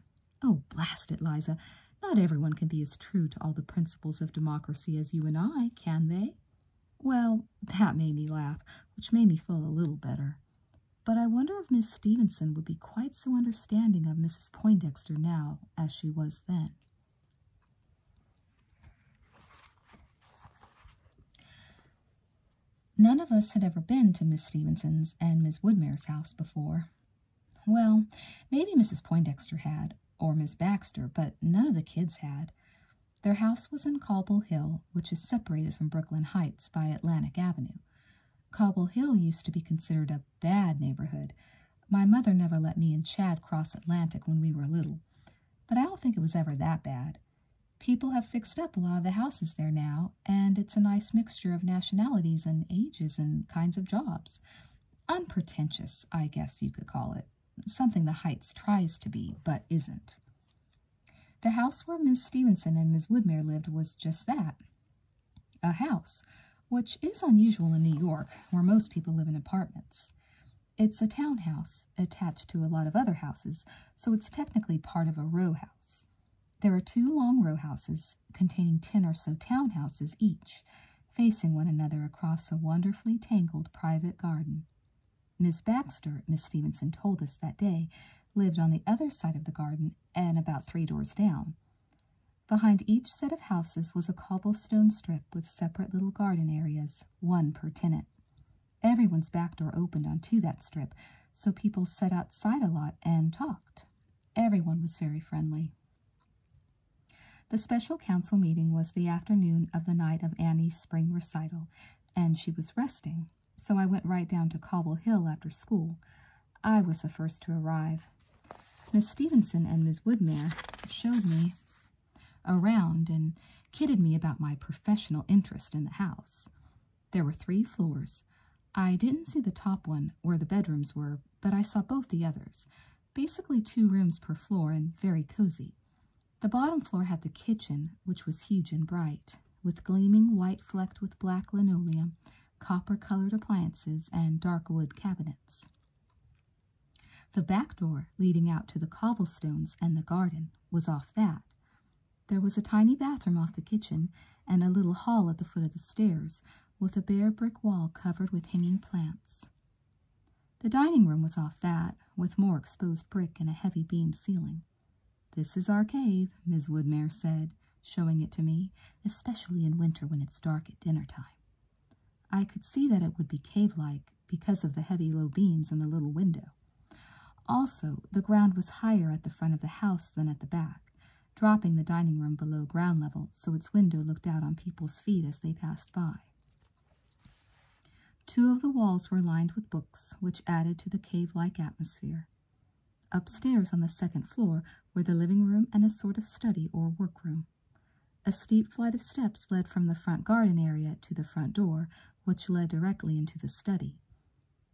oh, blast it, Liza, not everyone can be as true to all the principles of democracy as you and I, can they? Well, that made me laugh, which made me feel a little better. But I wonder if Miss Stevenson would be quite so understanding of Mrs. Poindexter now as she was then. None of us had ever been to Miss Stevenson's and Miss Woodmere's house before. Well, maybe Mrs. Poindexter had, or Miss Baxter, but none of the kids had. Their house was in Cobble Hill, which is separated from Brooklyn Heights by Atlantic Avenue. Cobble Hill used to be considered a bad neighborhood. My mother never let me and Chad cross Atlantic when we were little, but I don't think it was ever that bad. People have fixed up a lot of the houses there now, and it's a nice mixture of nationalities and ages and kinds of jobs. Unpretentious, I guess you could call it. Something the Heights tries to be, but isn't. The house where Miss Stevenson and Miss Woodmere lived was just that a house, which is unusual in New York, where most people live in apartments. It's a townhouse attached to a lot of other houses, so it's technically part of a row house. There are two long row houses containing ten or so townhouses each, facing one another across a wonderfully tangled private garden. Miss Baxter, Miss Stevenson told us that day, lived on the other side of the garden and about three doors down. Behind each set of houses was a cobblestone strip with separate little garden areas, one per tenant. Everyone's back door opened onto that strip, so people sat outside a lot and talked. Everyone was very friendly. The special council meeting was the afternoon of the night of Annie's spring recital, and she was resting so I went right down to Cobble Hill after school. I was the first to arrive. Miss Stevenson and Miss Woodmere showed me around and kidded me about my professional interest in the house. There were three floors. I didn't see the top one where the bedrooms were, but I saw both the others. Basically, two rooms per floor and very cozy. The bottom floor had the kitchen, which was huge and bright, with gleaming white flecked with black linoleum, copper colored appliances, and dark wood cabinets. The back door leading out to the cobblestones and the garden was off that. There was a tiny bathroom off the kitchen and a little hall at the foot of the stairs with a bare brick wall covered with hanging plants. The dining room was off that, with more exposed brick and a heavy beam ceiling. This is our cave, Miss Woodmere said, showing it to me, especially in winter when it's dark at dinner time. I could see that it would be cave-like because of the heavy low beams and the little window. Also, the ground was higher at the front of the house than at the back, dropping the dining room below ground level so its window looked out on people's feet as they passed by. Two of the walls were lined with books, which added to the cave like atmosphere. Upstairs on the second floor were the living room and a sort of study or workroom. A steep flight of steps led from the front garden area to the front door, which led directly into the study.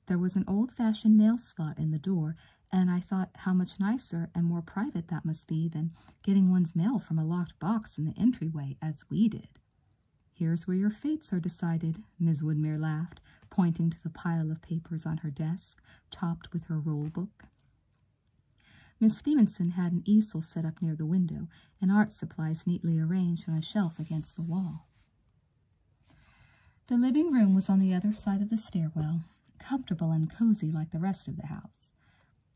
There was an old fashioned mail slot in the door, and I thought how much nicer and more private that must be than getting one's mail from a locked box in the entryway as we did. Here's where your fates are decided, Miss Woodmere laughed, pointing to the pile of papers on her desk, topped with her roll book. Miss Stevenson had an easel set up near the window and art supplies neatly arranged on a shelf against the wall. The living room was on the other side of the stairwell, comfortable and cozy like the rest of the house.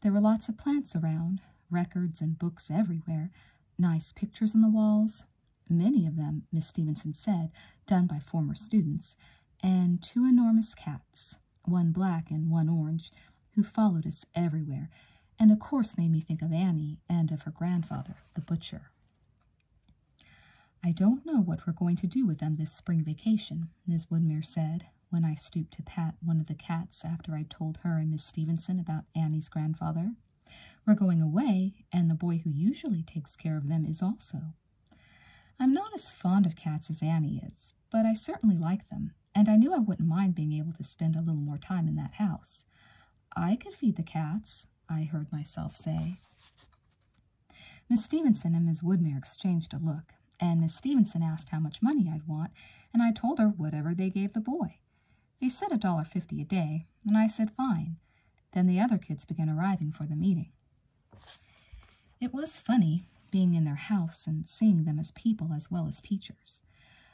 There were lots of plants around, records and books everywhere, nice pictures on the walls, many of them, Miss Stevenson said, done by former students, and two enormous cats, one black and one orange, who followed us everywhere, and of course made me think of Annie and of her grandfather, the butcher. I don't know what we're going to do with them this spring vacation, Miss Woodmere said, when I stooped to pat one of the cats after I told her and Miss Stevenson about Annie's grandfather. We're going away, and the boy who usually takes care of them is also. I'm not as fond of cats as Annie is, but I certainly like them, and I knew I wouldn't mind being able to spend a little more time in that house. I could feed the cats, I heard myself say. Miss Stevenson and Miss Woodmere exchanged a look, and Miss Stevenson asked how much money I'd want, and I told her whatever they gave the boy. They said a dollar fifty a day, and I said fine. Then the other kids began arriving for the meeting. It was funny being in their house and seeing them as people as well as teachers.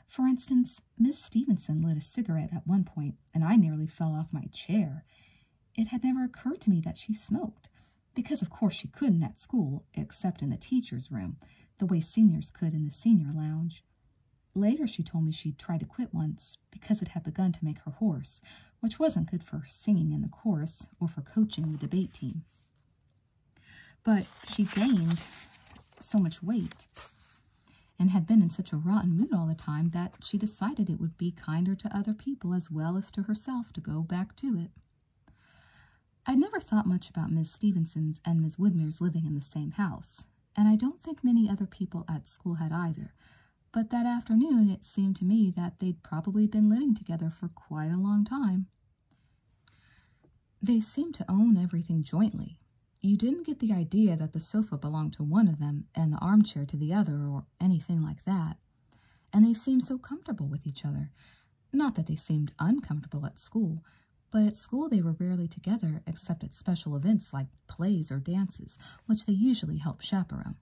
For instance, Miss Stevenson lit a cigarette at one point, and I nearly fell off my chair. It had never occurred to me that she smoked, because of course she couldn't at school, except in the teacher's room, the way seniors could in the senior lounge. Later she told me she'd tried to quit once, because it had begun to make her hoarse, which wasn't good for singing in the chorus or for coaching the debate team. But she gained so much weight and had been in such a rotten mood all the time that she decided it would be kinder to other people as well as to herself to go back to it. I would never thought much about Miss Stevenson's and Miss Woodmere's living in the same house, and I don't think many other people at school had either, but that afternoon, it seemed to me that they'd probably been living together for quite a long time. They seemed to own everything jointly. You didn't get the idea that the sofa belonged to one of them and the armchair to the other or anything like that. And they seemed so comfortable with each other. Not that they seemed uncomfortable at school, but at school they were rarely together except at special events like plays or dances, which they usually help chaperon.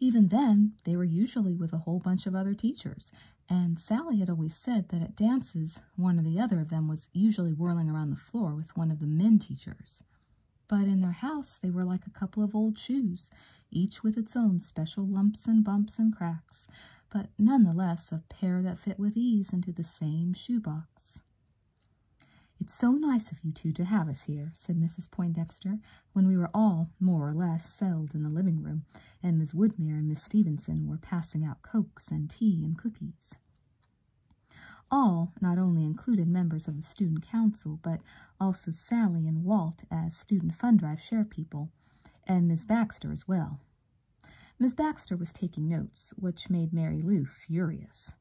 Even then, they were usually with a whole bunch of other teachers, and Sally had always said that at dances, one or the other of them was usually whirling around the floor with one of the men teachers. But in their house, they were like a couple of old shoes, each with its own special lumps and bumps and cracks, but none the less a pair that fit with ease into the same shoebox. It's so nice of you two to have us here, said Mrs. Poindexter, when we were all more or less settled in the living room, and Miss Woodmere and Miss Stevenson were passing out cokes and tea and cookies. All not only included members of the student council, but also Sally and Walt as student fund drive share people, and Miss Baxter as well. Miss Baxter was taking notes, which made Mary Lou furious.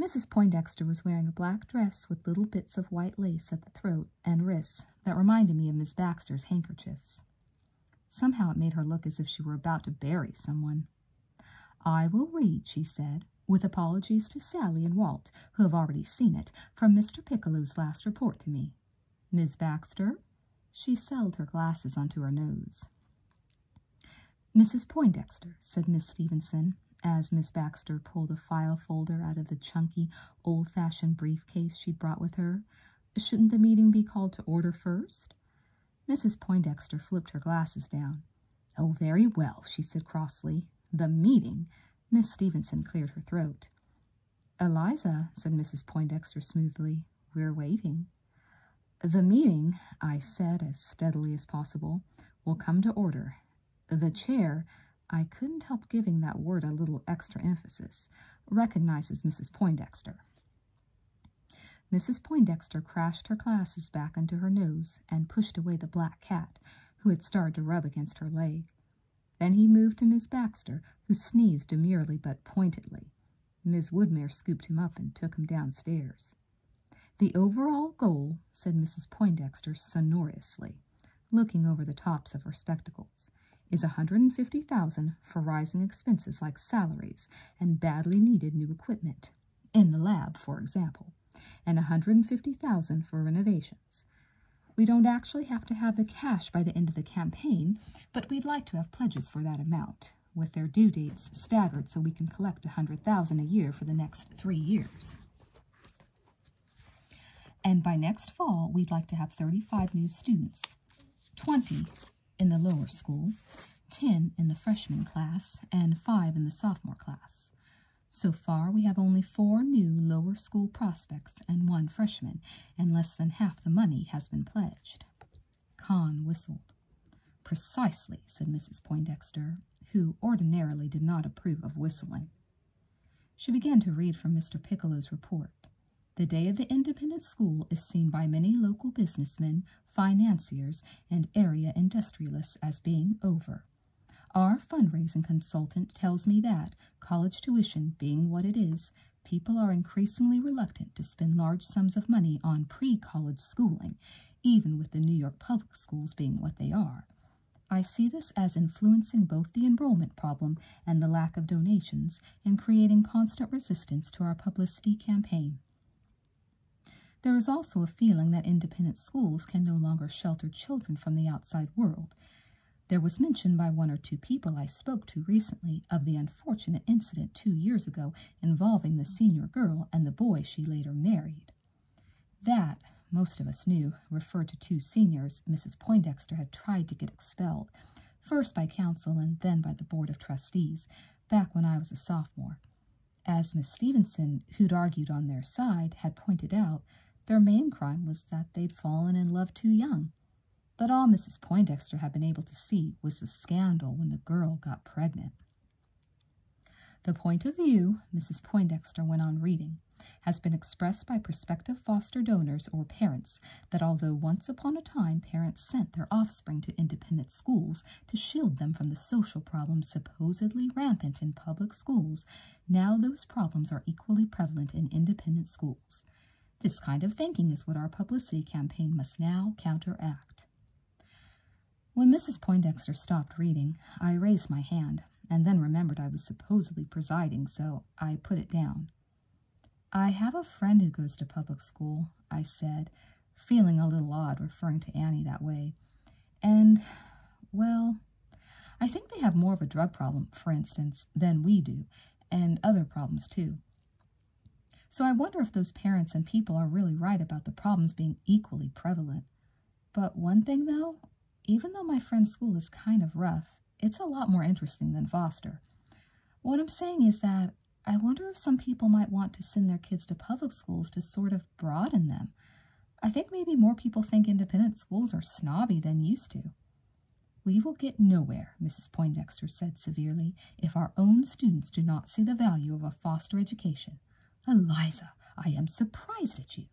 Mrs. Poindexter was wearing a black dress with little bits of white lace at the throat and wrists that reminded me of Miss Baxter's handkerchiefs. Somehow it made her look as if she were about to bury someone. I will read, she said, with apologies to Sally and Walt, who have already seen it, from Mr. Piccolo's last report to me. Miss Baxter? She settled her glasses onto her nose. Mrs. Poindexter, said Miss Stevenson, as Miss Baxter pulled a file folder out of the chunky, old fashioned briefcase she'd brought with her, shouldn't the meeting be called to order first?" Mrs. Poindexter flipped her glasses down. Oh, very well, she said crossly. The meeting. Miss Stevenson cleared her throat. Eliza, said Mrs. Poindexter smoothly, we're waiting. The meeting, I said as steadily as possible, will come to order. The chair, I couldn't help giving that word a little extra emphasis, recognizes Mrs. Poindexter. Mrs. Poindexter crashed her glasses back into her nose and pushed away the black cat, who had started to rub against her leg. Then he moved to Miss Baxter, who sneezed demurely but pointedly. Miss Woodmere scooped him up and took him downstairs. The overall goal, said Mrs. Poindexter sonorously, looking over the tops of her spectacles, is a hundred and fifty thousand for rising expenses like salaries and badly needed new equipment in the lab, for example, and a hundred and fifty thousand for renovations. We don't actually have to have the cash by the end of the campaign, but we'd like to have pledges for that amount with their due dates staggered so we can collect a 100,000 a year for the next 3 years. And by next fall, we'd like to have 35 new students, 20 in the lower school, 10 in the freshman class, and 5 in the sophomore class. So far, we have only four new lower school prospects and one freshman, and less than half the money has been pledged. Kahn whistled. Precisely, said Mrs. Poindexter, who ordinarily did not approve of whistling. She began to read from Mr. Piccolo's report. The day of the independent school is seen by many local businessmen, financiers, and area industrialists as being over. Our fundraising consultant tells me that, college tuition being what it is, people are increasingly reluctant to spend large sums of money on pre-college schooling even with the New York public schools being what they are. I see this as influencing both the enrollment problem and the lack of donations and creating constant resistance to our publicity campaign. There is also a feeling that independent schools can no longer shelter children from the outside world. There was mention by one or two people I spoke to recently of the unfortunate incident two years ago involving the senior girl and the boy she later married. That, most of us knew, referred to two seniors Mrs. Poindexter had tried to get expelled, first by council and then by the Board of Trustees, back when I was a sophomore. As Miss Stevenson, who'd argued on their side, had pointed out, their main crime was that they'd fallen in love too young. But all Mrs. Poindexter had been able to see was the scandal when the girl got pregnant. The point of view, Mrs. Poindexter went on reading, has been expressed by prospective foster donors or parents that although once upon a time parents sent their offspring to independent schools to shield them from the social problems supposedly rampant in public schools, now those problems are equally prevalent in independent schools. This kind of thinking is what our publicity campaign must now counteract. When Mrs. Poindexter stopped reading, I raised my hand, and then remembered I was supposedly presiding, so I put it down. I have a friend who goes to public school, I said, feeling a little odd referring to Annie that way. And, well, I think they have more of a drug problem, for instance, than we do, and other problems too. So I wonder if those parents and people are really right about the problems being equally prevalent. But one thing though, even though my friend's school is kind of rough, it's a lot more interesting than Foster. What I'm saying is that I wonder if some people might want to send their kids to public schools to sort of broaden them. I think maybe more people think independent schools are snobby than used to. We will get nowhere, Mrs. Poindexter said severely, if our own students do not see the value of a foster education. Eliza, I am surprised at you.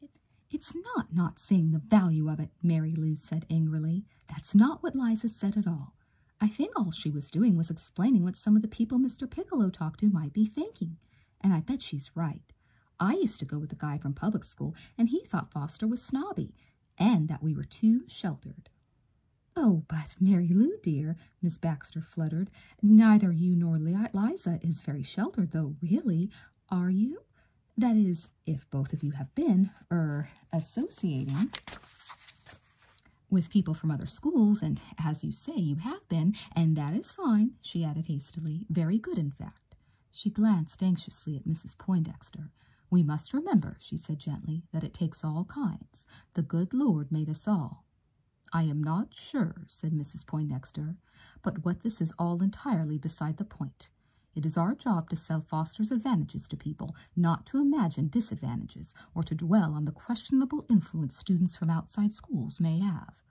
It's, it's not not seeing the value of it, Mary Lou said angrily. That's not what Liza said at all. I think all she was doing was explaining what some of the people Mr. Piccolo talked to might be thinking, and I bet she's right. I used to go with a guy from public school, and he thought Foster was snobby, and that we were too sheltered. Oh, but Mary Lou, dear, Miss Baxter fluttered. Neither you nor Liza is very sheltered, though, really, are you? That is, if both of you have been, er, associating with people from other schools, and as you say, you have been, and that is fine, she added hastily. Very good, in fact. She glanced anxiously at Mrs. Poindexter. We must remember, she said gently, that it takes all kinds. The good Lord made us all. I am not sure, said Mrs. Poindexter, but what this is all entirely beside the point. It is our job to sell Foster's advantages to people, not to imagine disadvantages or to dwell on the questionable influence students from outside schools may have.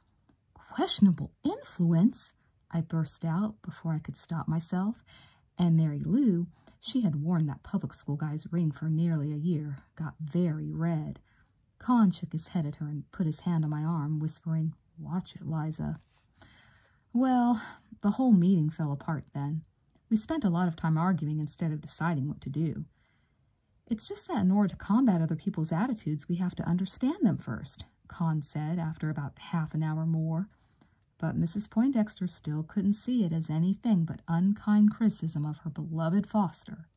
Questionable influence? I burst out before I could stop myself, and Mary Lou, she had worn that public school guy's ring for nearly a year, got very red. Con shook his head at her and put his hand on my arm, whispering, Watch it, Liza. Well, the whole meeting fell apart then. We spent a lot of time arguing instead of deciding what to do. It's just that in order to combat other people's attitudes, we have to understand them first, Con said after about half an hour more. But Mrs. Poindexter still couldn't see it as anything but unkind criticism of her beloved Foster.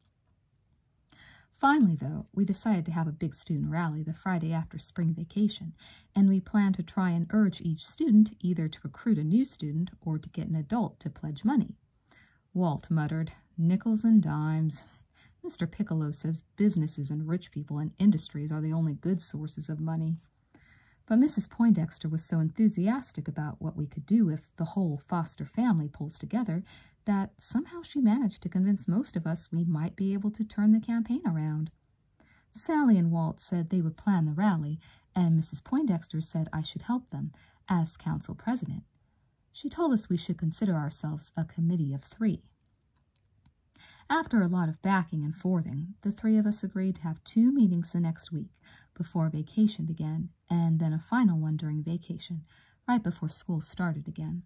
Finally, though, we decided to have a big student rally the Friday after spring vacation, and we plan to try and urge each student either to recruit a new student or to get an adult to pledge money. Walt muttered, Nickels and dimes. Mr. Piccolo says businesses and rich people and industries are the only good sources of money. But Mrs. Poindexter was so enthusiastic about what we could do if the whole foster family pulls together that somehow she managed to convince most of us we might be able to turn the campaign around. Sally and Walt said they would plan the rally, and Mrs. Poindexter said I should help them as council president. She told us we should consider ourselves a committee of three. After a lot of backing and forthing, the three of us agreed to have two meetings the next week before vacation began, and then a final one during vacation, right before school started again.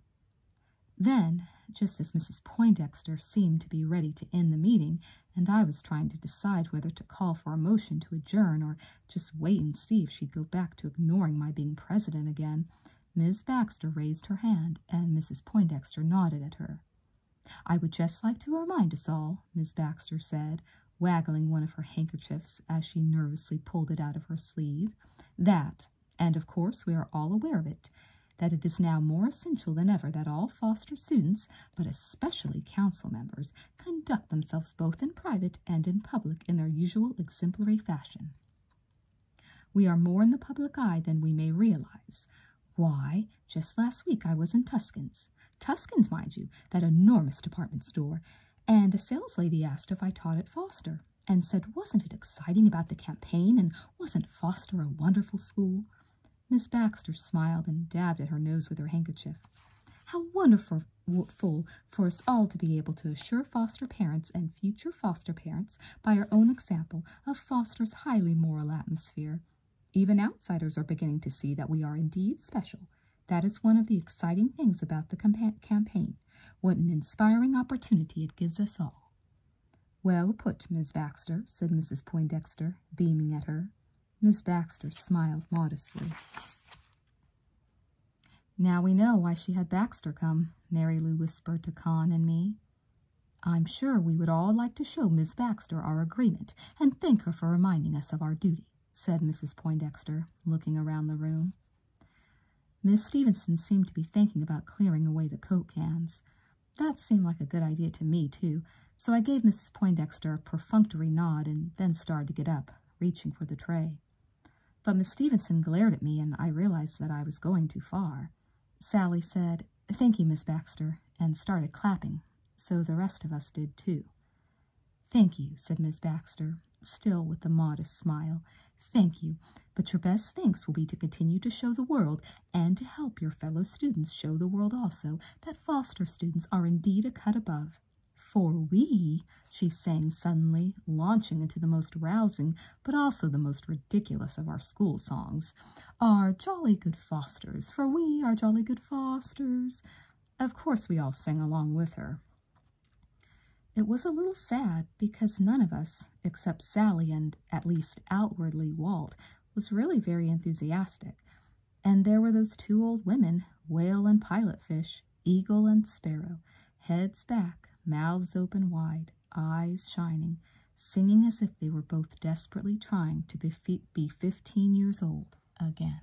Then, just as Mrs. Poindexter seemed to be ready to end the meeting, and I was trying to decide whether to call for a motion to adjourn or just wait and see if she'd go back to ignoring my being president again, Miss Baxter raised her hand, and Mrs. Poindexter nodded at her. I would just like to remind us all, Miss Baxter said, waggling one of her handkerchiefs as she nervously pulled it out of her sleeve, that, and of course we are all aware of it, that it is now more essential than ever that all foster students, but especially council members, conduct themselves both in private and in public in their usual exemplary fashion. We are more in the public eye than we may realize. Why, just last week I was in Tuscan's. Tuscan's, mind you, that enormous department store, and a saleslady asked if I taught at Foster and said wasn't it exciting about the campaign and wasn't Foster a wonderful school? Miss Baxter smiled and dabbed at her nose with her handkerchief. How wonderful for us all to be able to assure foster parents and future foster parents by our own example of Foster's highly moral atmosphere. Even outsiders are beginning to see that we are indeed special. That is one of the exciting things about the campaign. What an inspiring opportunity it gives us all. Well put, Miss Baxter, said Mrs. Poindexter, beaming at her. Miss Baxter smiled modestly. Now we know why she had Baxter come, Mary Lou whispered to Con and me. I'm sure we would all like to show Miss Baxter our agreement and thank her for reminding us of our duty, said Mrs. Poindexter, looking around the room. Miss Stevenson seemed to be thinking about clearing away the coke cans. That seemed like a good idea to me, too, so I gave Mrs. Poindexter a perfunctory nod and then started to get up, reaching for the tray. But Miss Stevenson glared at me, and I realized that I was going too far. Sally said, Thank you, Miss Baxter, and started clapping, so the rest of us did too. Thank you, said Miss Baxter, still with a modest smile. Thank you, but your best thanks will be to continue to show the world and to help your fellow students show the world also that foster students are indeed a cut above. For we, she sang suddenly, launching into the most rousing but also the most ridiculous of our school songs, are jolly good fosters, for we are jolly good fosters. Of course, we all sang along with her. It was a little sad because none of us, except Sally and at least outwardly Walt, was really very enthusiastic. And there were those two old women, whale and pilot fish, eagle and sparrow, heads back, mouths open wide, eyes shining, singing as if they were both desperately trying to be 15 years old again.